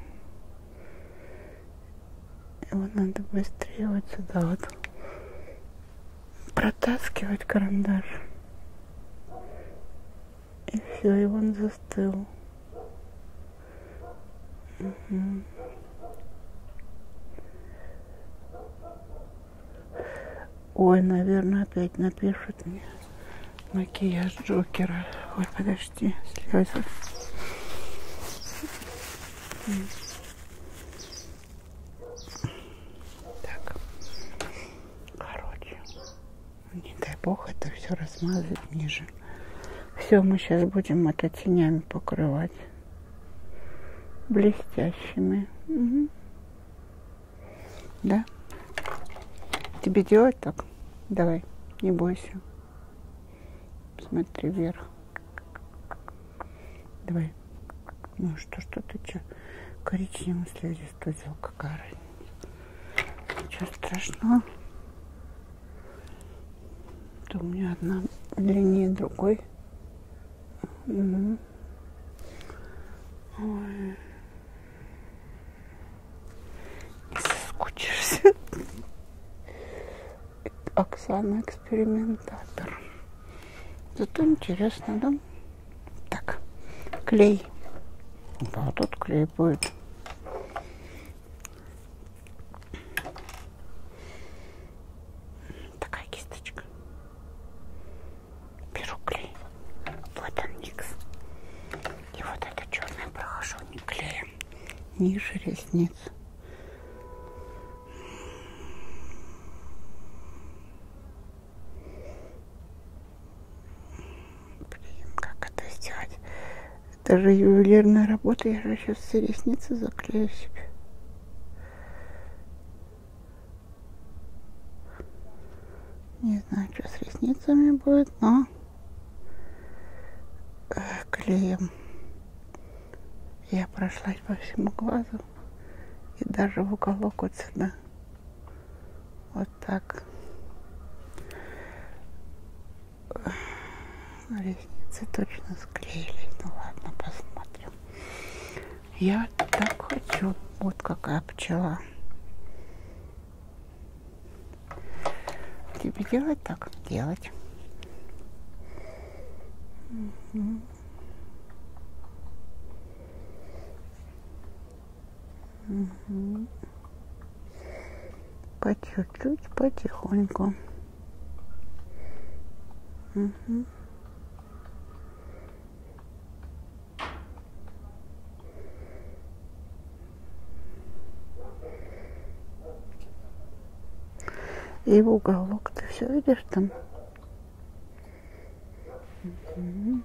Speaker 1: Его надо быстрее вот сюда вот протаскивать карандаш. И все, и он застыл. Угу. Ой, наверное, опять напишет мне макияж Джокера. Ой, подожди, слезы. Так. Короче. Не дай бог это все размазать ниже. Все, мы сейчас будем это тенями покрывать блестящими. Угу. Да? Тебе делать так? Давай, не бойся. Смотри вверх. Давай. Ну что, что ты че? Коричневый слизистый взял, какая разница. Ничего страшного. То у меня одна длиннее другой. Угу. Ой. Не соскучишься. Оксана экспериментатор. Зато интересно, да? Так, клей. Да, тут клей будет. Такая кисточка. Беру клей. Вот он микс. И вот это черное прохожу не клеем. Ниже ресниц. Блин, как это сделать? Это же ювелирная работа, я же сейчас все ресницы заклею себе. Не знаю, что с ресницами будет, но э, клеем я прошлась по всему глазу и даже в уголок вот сюда. Вот так. Ресницы точно склеились. Ну ладно, посмотрим. Я так хочу. Вот какая пчела. Тебе делать так? Делать. Угу. Угу. По чуть-чуть, потихоньку. Угу. И в уголок ты все видишь там? Угу.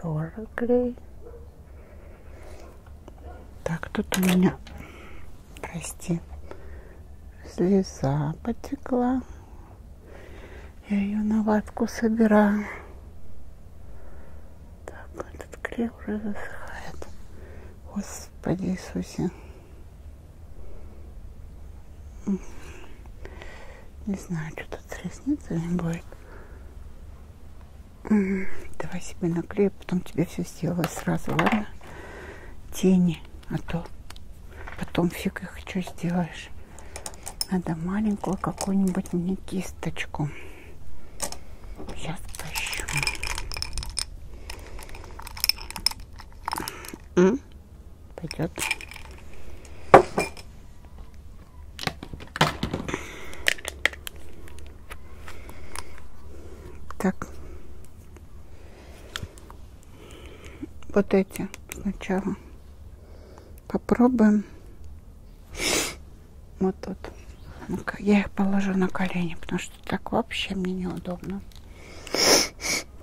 Speaker 1: Тоже клей. Так, тут у меня, прости, слеза потекла. Я ее на ватку собираю. Так, этот клей уже высыхает. Господи Иисусе. Не знаю, что тут с ресницами будет. Давай себе наклею, а потом тебе все сделаю сразу, ладно? Тени, а то Потом фиг их что сделаешь. Надо маленькую какую-нибудь мне кисточку. Сейчас поищу. М? Пойдет. Так вот эти сначала попробуем вот тут я их положу на колени потому что так вообще мне неудобно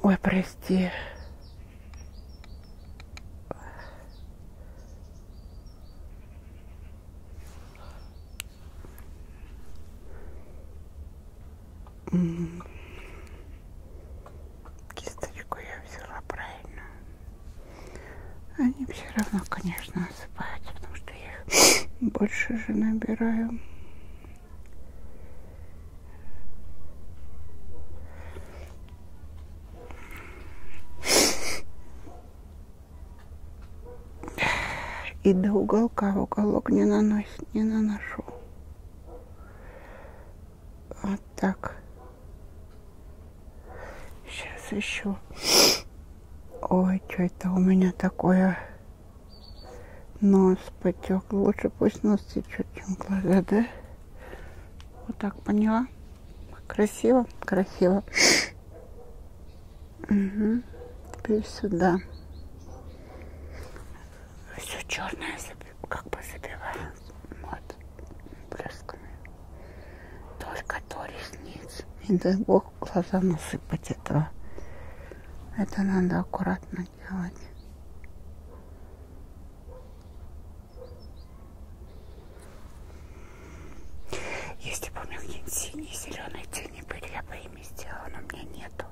Speaker 1: ой прости Кисточку я взяла правильно. Они все равно, конечно, осыпаются, потому что я их больше же набираю. И до уголка в уголок не наносит, не наношу. Вот так. Сейчас еще. Ой, что это у меня такое? Нос потек. Лучше пусть нос течет, чем глаза, да? Вот так поняла. Красиво, красиво. Угу. Теперь сюда все черное как бы забиваем вот блесками. Только до ресниц. Не дай бог глаза насыпать этого. Это надо аккуратно делать. Если бы у меня какие-нибудь синие, зеленые тени были, я бы ими сделала, но у меня нету.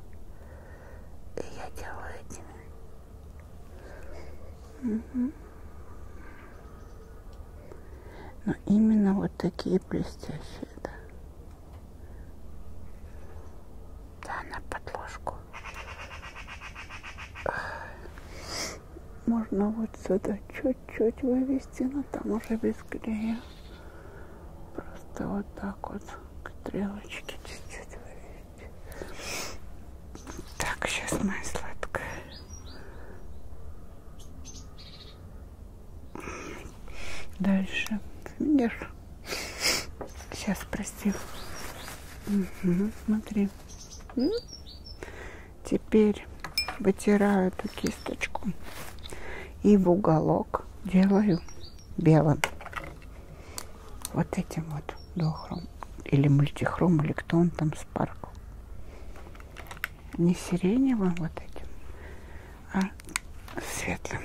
Speaker 1: И я делаю этими. Угу. Но именно вот такие блестящие, да. Да, на подложку. Можно вот сюда чуть-чуть вывести, но там уже без клея. Просто вот так вот к стрелочке чуть-чуть вывести. Так, сейчас моя сладкая. Дальше. Видишь? Сейчас, прости. Угу, смотри. Теперь вытираю эту кисточку и в уголок делаю белым вот этим вот дохром или мультихром, или кто он там спаркл. Не сиреневым вот этим, а светлым.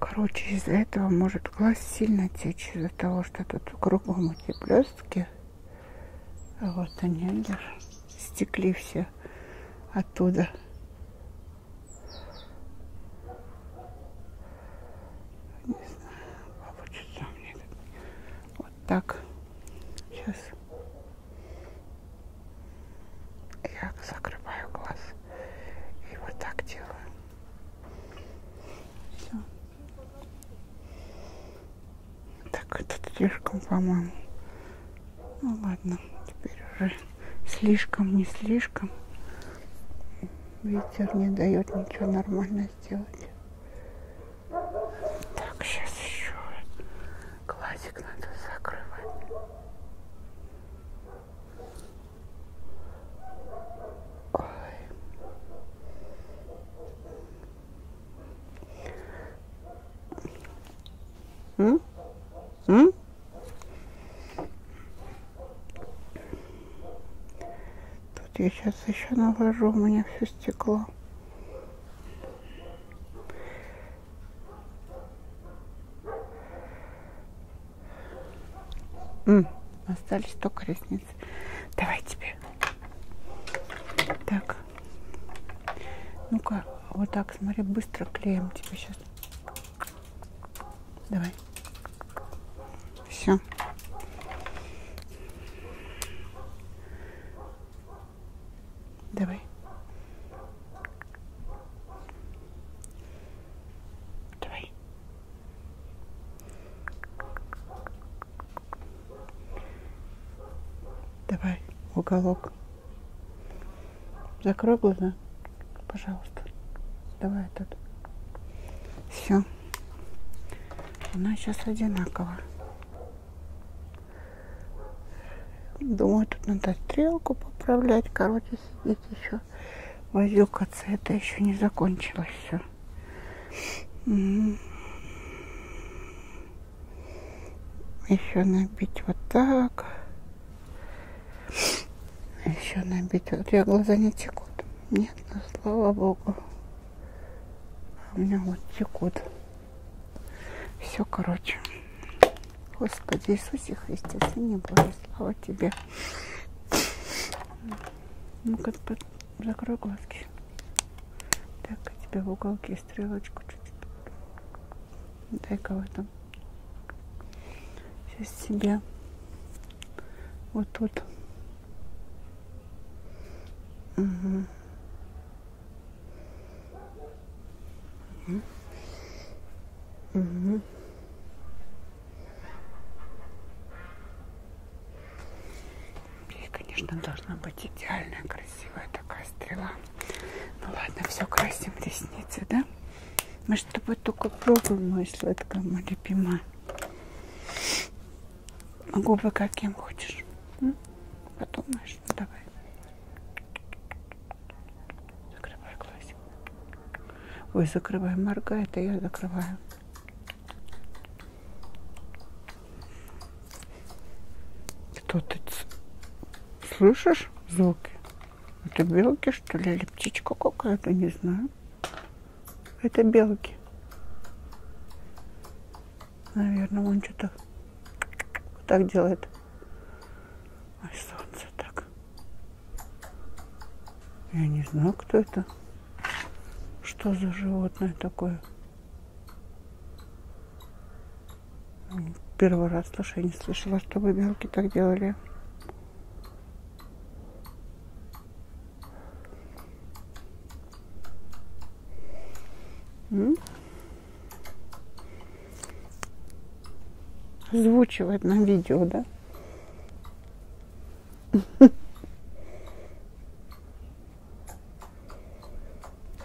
Speaker 1: Короче, из-за этого может глаз сильно течь, из-за того, что тут кругом эти блестки. А вот они, даже стекли все оттуда. Не знаю, получится мне вот так. Сейчас я закрываю глаз и вот так делаю. Все. Так, это слишком, по-моему. Ну ладно, теперь уже слишком, не слишком. Ветер не дает ничего нормально сделать. Так, сейчас еще глазик надо закрывать. Ой. М? М? Тут я сейчас еще навожу, у меня все стекло. М -м, остались только ресницы. Давай тебе. Так. Ну-ка, вот так, смотри, быстро клеим тебе сейчас. Давай. Все. Давай. Давай. Давай, уголок. Закрой глаза, пожалуйста. Давай тут. Все. Она сейчас одинакова. Думаю, тут надо стрелку поправлять. Короче, сидеть еще возюкаться. Это еще не закончилось все. Еще набить вот так. Еще набить. Вот я глаза не текут. Нет, ну, слава богу. А у меня вот текут. Все, короче. Господи Иисусе Христе, Сыне Божий, слава Тебе. Ну-ка, под... закрой глазки. Так, у тебя в уголке стрелочку чуть-чуть. Дай-ка в этом. Сейчас себя вот тут. Угу. Угу. Угу. И, конечно, должна быть идеальная, красивая такая стрела. Ну ладно, все, красим ресницы, да? Мы с тобой только пробуем, моя сладкая, моя любимая на губы каким хочешь. М? Подумаешь, ну, давай. Закрывай глазик. Ой, закрывай, моргай, это я закрываю. Что ты слышишь звуки? Это белки, что ли, или птичка какая-то, не знаю. Это белки. Наверное, он что-то вот так делает. Ой, солнце так. Я не знаю, кто это. Что за животное такое? Первый раз слышу, я не слышала, чтобы белки так делали. Озвучивает нам видео, да?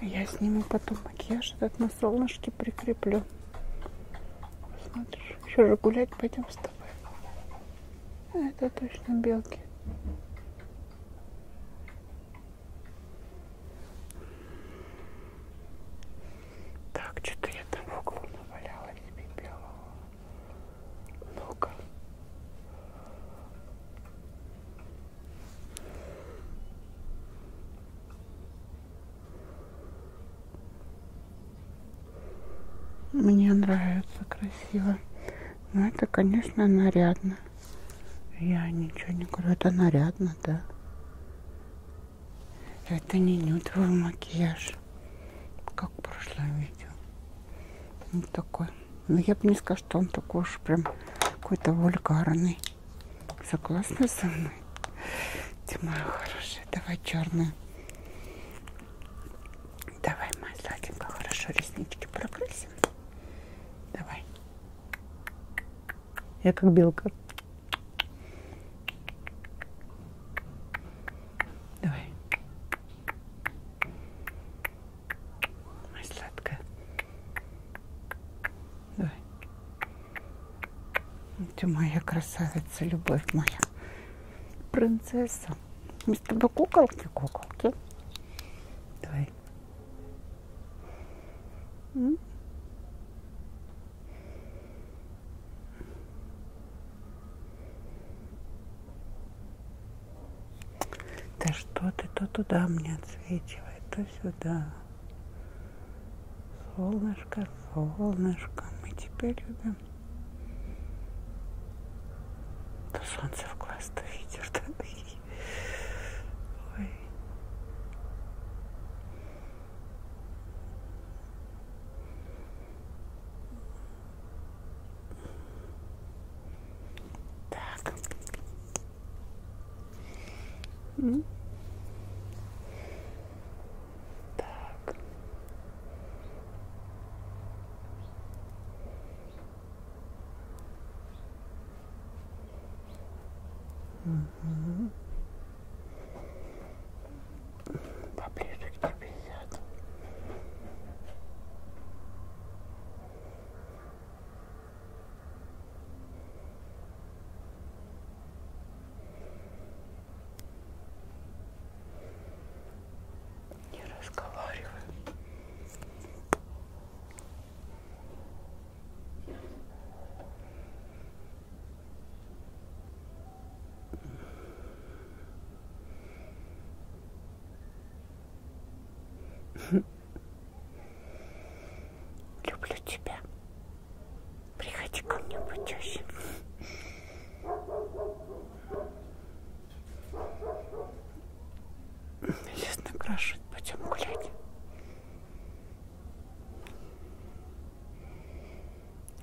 Speaker 1: Я сниму потом макияж этот на солнышке прикреплю. Смотришь, еще же гулять пойдем с тобой. А, это точно белки. Так, что-то я там в углу наваляла себе белого. Ну-ка. Мне нравится, красиво. Но это, конечно, нарядно. Я ничего не говорю, это нарядно, да. Это не нюдовый макияж, как в прошлом видео. Вот такой. Но ну, я бы не сказала, что он такой уж прям какой-то вульгарный. Согласна со мной? Ты моя хорошая, давай черную. Давай, моя сладенькая, хорошо реснички прокрасим. Давай. Я как белка. Давай. Моя сладкая. Давай. Ты моя красавица, любовь моя. Принцесса. Мы с тобой куколки, куколки. Давай. М? Да что ты то туда мне отсвечивает, то сюда. Солнышко, солнышко, мы тебя любим. Но солнце в глаз-то видишь, да? Ой. Так. Так. Угу. Поближе к тебе сяду не разговариваю. Люблю тебя. Приходи ко мне почаще. Лес накрашивать, пойдем гулять.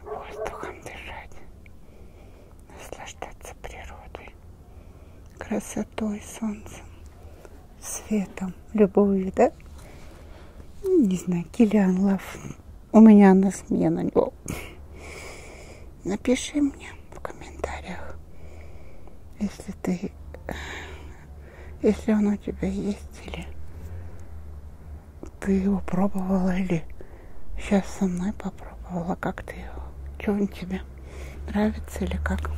Speaker 1: Воздухом дышать, наслаждаться природой, красотой, солнцем, светом, любовью, да? Не знаю, Киллиан Лав. У меня на смену него. Напиши мне в комментариях, если ты, если он у тебя есть или ты его пробовала или сейчас со мной попробовала, как ты его, что он тебе нравится или как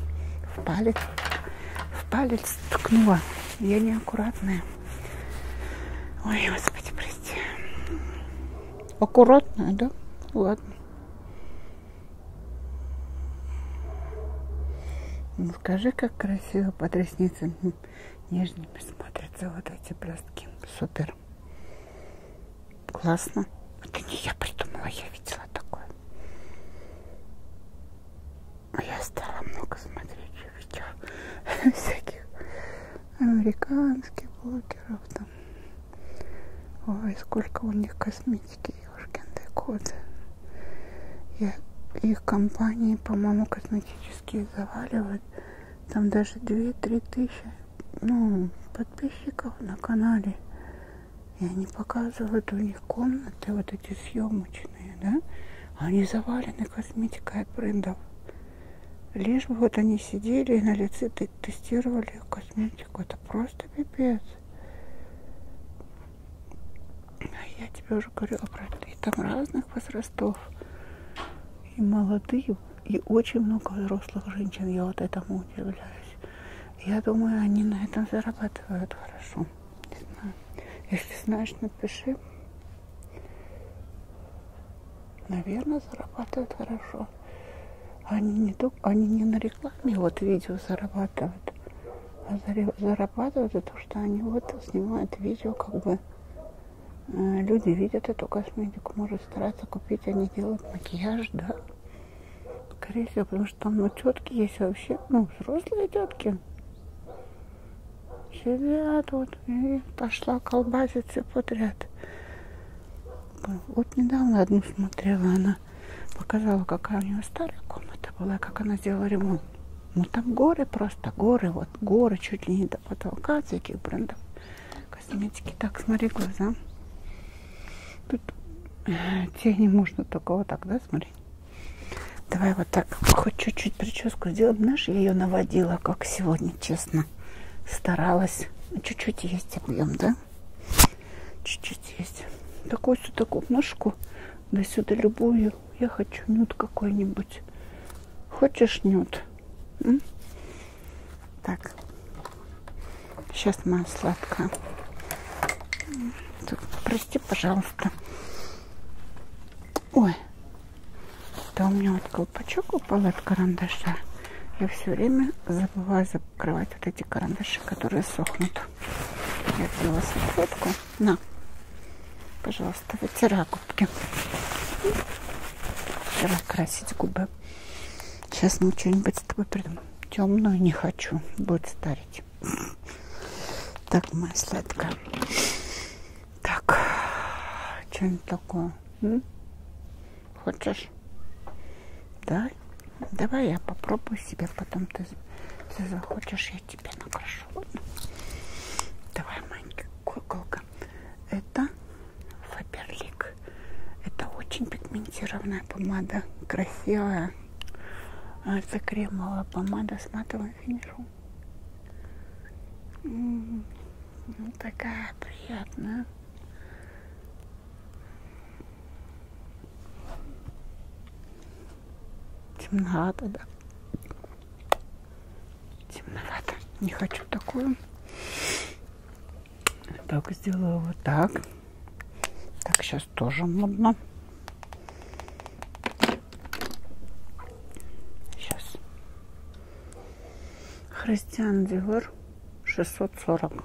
Speaker 1: в палец, в палец ткнула. Я неаккуратная. Ой, господи, прости. Аккуратная, да? Ладно. Ну, скажи, как красиво под ресницами нежными смотрятся вот эти блестки. Супер. Классно. Это не я придумала, я видела такое. А я стала много смотреть видео всяких американских блогеров там. Ой, сколько у них косметики, ешкин ты кот. Я, их компании, по-моему, косметические заваливают. Там даже 2-3 тысячи ну, подписчиков на канале. И они показывают у них комнаты, вот эти съемочные, да? Они завалены косметикой от брендов. Лишь бы вот они сидели и на лице ты тестировали косметику. Это просто пипец. А я тебе уже говорила про это. И там разных возрастов. И молодые, и очень много взрослых женщин. Я вот этому удивляюсь. Я думаю, они на этом зарабатывают хорошо. Не знаю. Если знаешь, напиши. Наверное, зарабатывают хорошо что они не только, они не на рекламе вот видео зарабатывают, а зарабатывают это, что они вот снимают видео, как бы э, люди видят эту косметику, может стараться купить, они делают макияж, да, скорее всего, потому что там ну тетки есть вообще, ну взрослые тетки сидят вот и пошла колбаситься подряд. Вот недавно одну смотрела, она показала, какая у нее старая комната была, как она сделала ремонт. Ну там горы просто, горы, вот горы, чуть ли не до потолка всяких брендов косметики. Так, смотри глаза. Тут э, тени можно только вот так, да, смотри. Давай вот так, хоть чуть-чуть прическу сделаем. Знаешь, я ее наводила, как сегодня, честно. Старалась. Чуть-чуть есть объем, да? Чуть-чуть есть. Такую сюда такую ножку, да сюда любую. Я хочу нюд какой-нибудь. Хочешь нюд? М? Так. Сейчас моя сладкая. Так, прости, пожалуйста. Ой. Да у меня вот колпачок упал от карандаша. Я все время забываю за открывать вот эти карандаши, которые сохнут. Я взяла салфетку. На, пожалуйста, вытирай губки. Вчера красить губы. Сейчас мы что-нибудь с тобой придумаем. Темную не хочу. Будет старить. Так, моя сладкая. Так, что-нибудь такое. М? Хочешь? Да? Давай я попробую себе, потом ты если захочешь, я тебе накрашу. Давай, маленькая куколка. Это Фаберлик. Это очень пигментированная помада, красивая. А, это кремовая помада с матовым финишом. М-м-м. Ну, такая приятная. Темновато, да. Темновато. Не хочу такую. Так, сделаю вот так. Так, сейчас тоже модно. Сейчас. Христиан Дивер 640.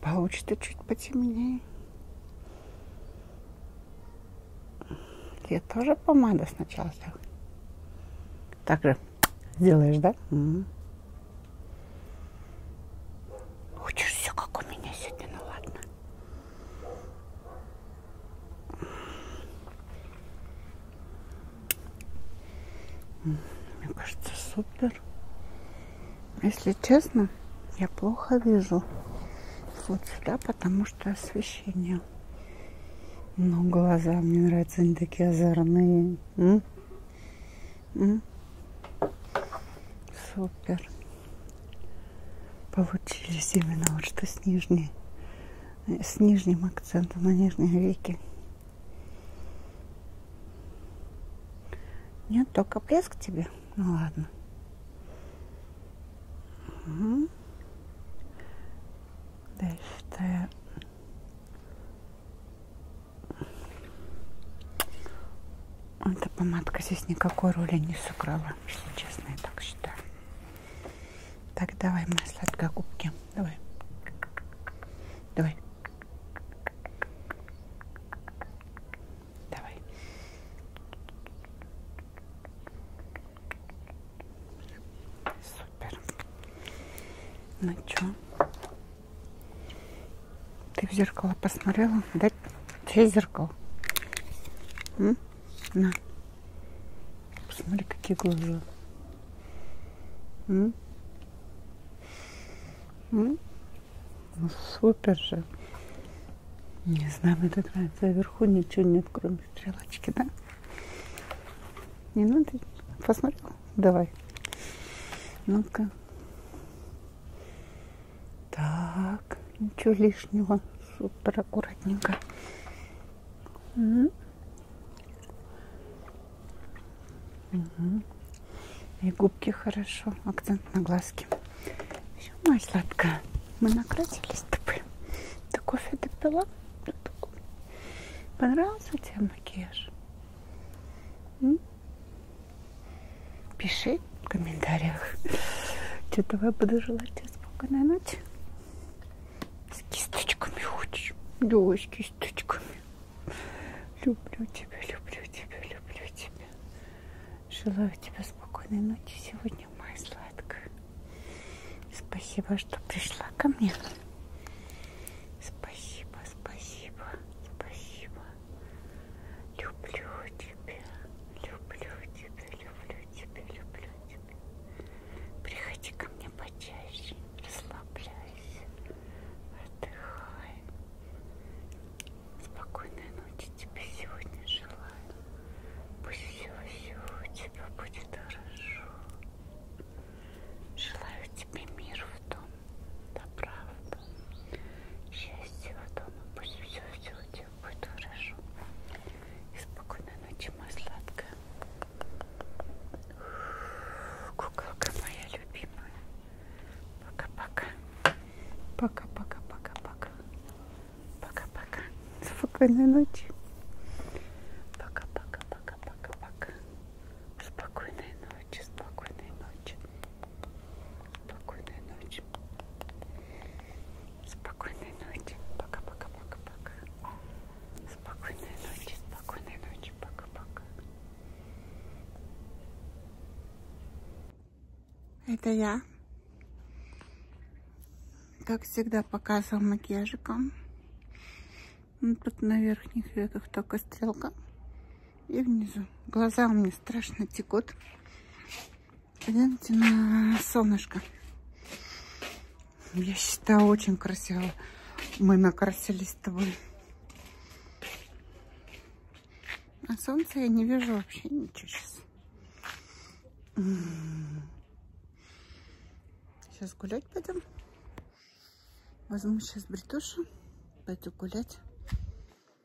Speaker 1: Получится чуть потемнее. Я тоже помада сначала так. Так же сделаешь, да? Угу. Хочешь все, как у меня сегодня? Ну ладно. Мне кажется, супер. Если честно, я плохо вижу вот сюда, потому что освещение. Но ну, глаза мне нравятся, они такие озорные. М? М? Супер получились именно вот что с нижней, э, с нижним акцентом на нижней веке. Нет, только блеск тебе. Ну ладно. Угу. Дальше эта помадка здесь никакой роли не сыграла, если честно, я так считаю. Так, давай, мои сладкогубки. Давай. Давай. Давай. Супер. Ну чё? Ты в зеркало посмотрела? Да, тебе зеркало. М? На. Посмотри, какие глаза. М? М? Ну, супер же. Не знаю, мне так нравится. Вверху ничего нет, кроме стрелочки, да? Не надо? Посмотрел? Давай. Ну-ка. Так, ничего лишнего. Супер аккуратненько. Угу. И губки хорошо. Акцент на глазки. Все, моя сладкая. Мы накрасились с тобой. Ты кофе допила? Понравился тебе макияж? М? Пиши в комментариях. Что-то вы буду желать тебе спокойной ночи. С кисточками хочешь? Да, с кисточками. Люблю тебя, люблю тебя, люблю тебя. Желаю тебе спокойной ночи сегодня, моя сладкая. Спасибо, что пришла ко мне. Спасибо, спасибо, спасибо. Люблю тебя, люблю тебя, люблю тебя, люблю тебя. Приходи ко мне почаще, расслабляйся, отдыхай. Спокойной ночи тебе сегодня желаю. Пусть все-все у тебя будет хорошо. Желаю тебе мир в том, добра в счастья в дома, пусть все, все у тебя будет хорошо. И спокойной ночи, моя сладкая. Куколка моя любимая. Пока-пока. Пока-пока-пока-пока. Пока-пока. Спокойной ночи. Пока-пока-пока-пока-пока. Спокойной ночи, спокойной ночи. Спокойной ночи. Спокойной ночи. Пока-пока-пока-пока. Спокойной ночи. Спокойной ночи. Пока-пока. Это я. Как всегда показывал макияжиком. Ну, тут на верхних веках только стрелка. И внизу. Глаза у меня страшно текут. Гляньте на солнышко. Я считаю, очень красиво мы накрасились с тобой. А солнца я не вижу вообще ничего сейчас. Сейчас гулять пойдем. Возьму сейчас бритошу, пойду гулять.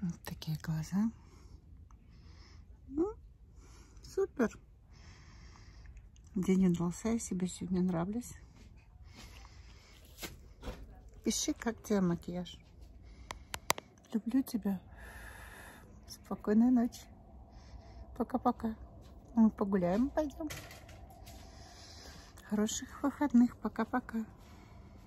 Speaker 1: Вот такие глаза. Ну, супер. День удался, я себе сегодня нравлюсь. Пиши, как тебе макияж. Люблю тебя. Спокойной ночи. Пока-пока. Мы погуляем, пойдем. Хороших выходных. Пока-пока.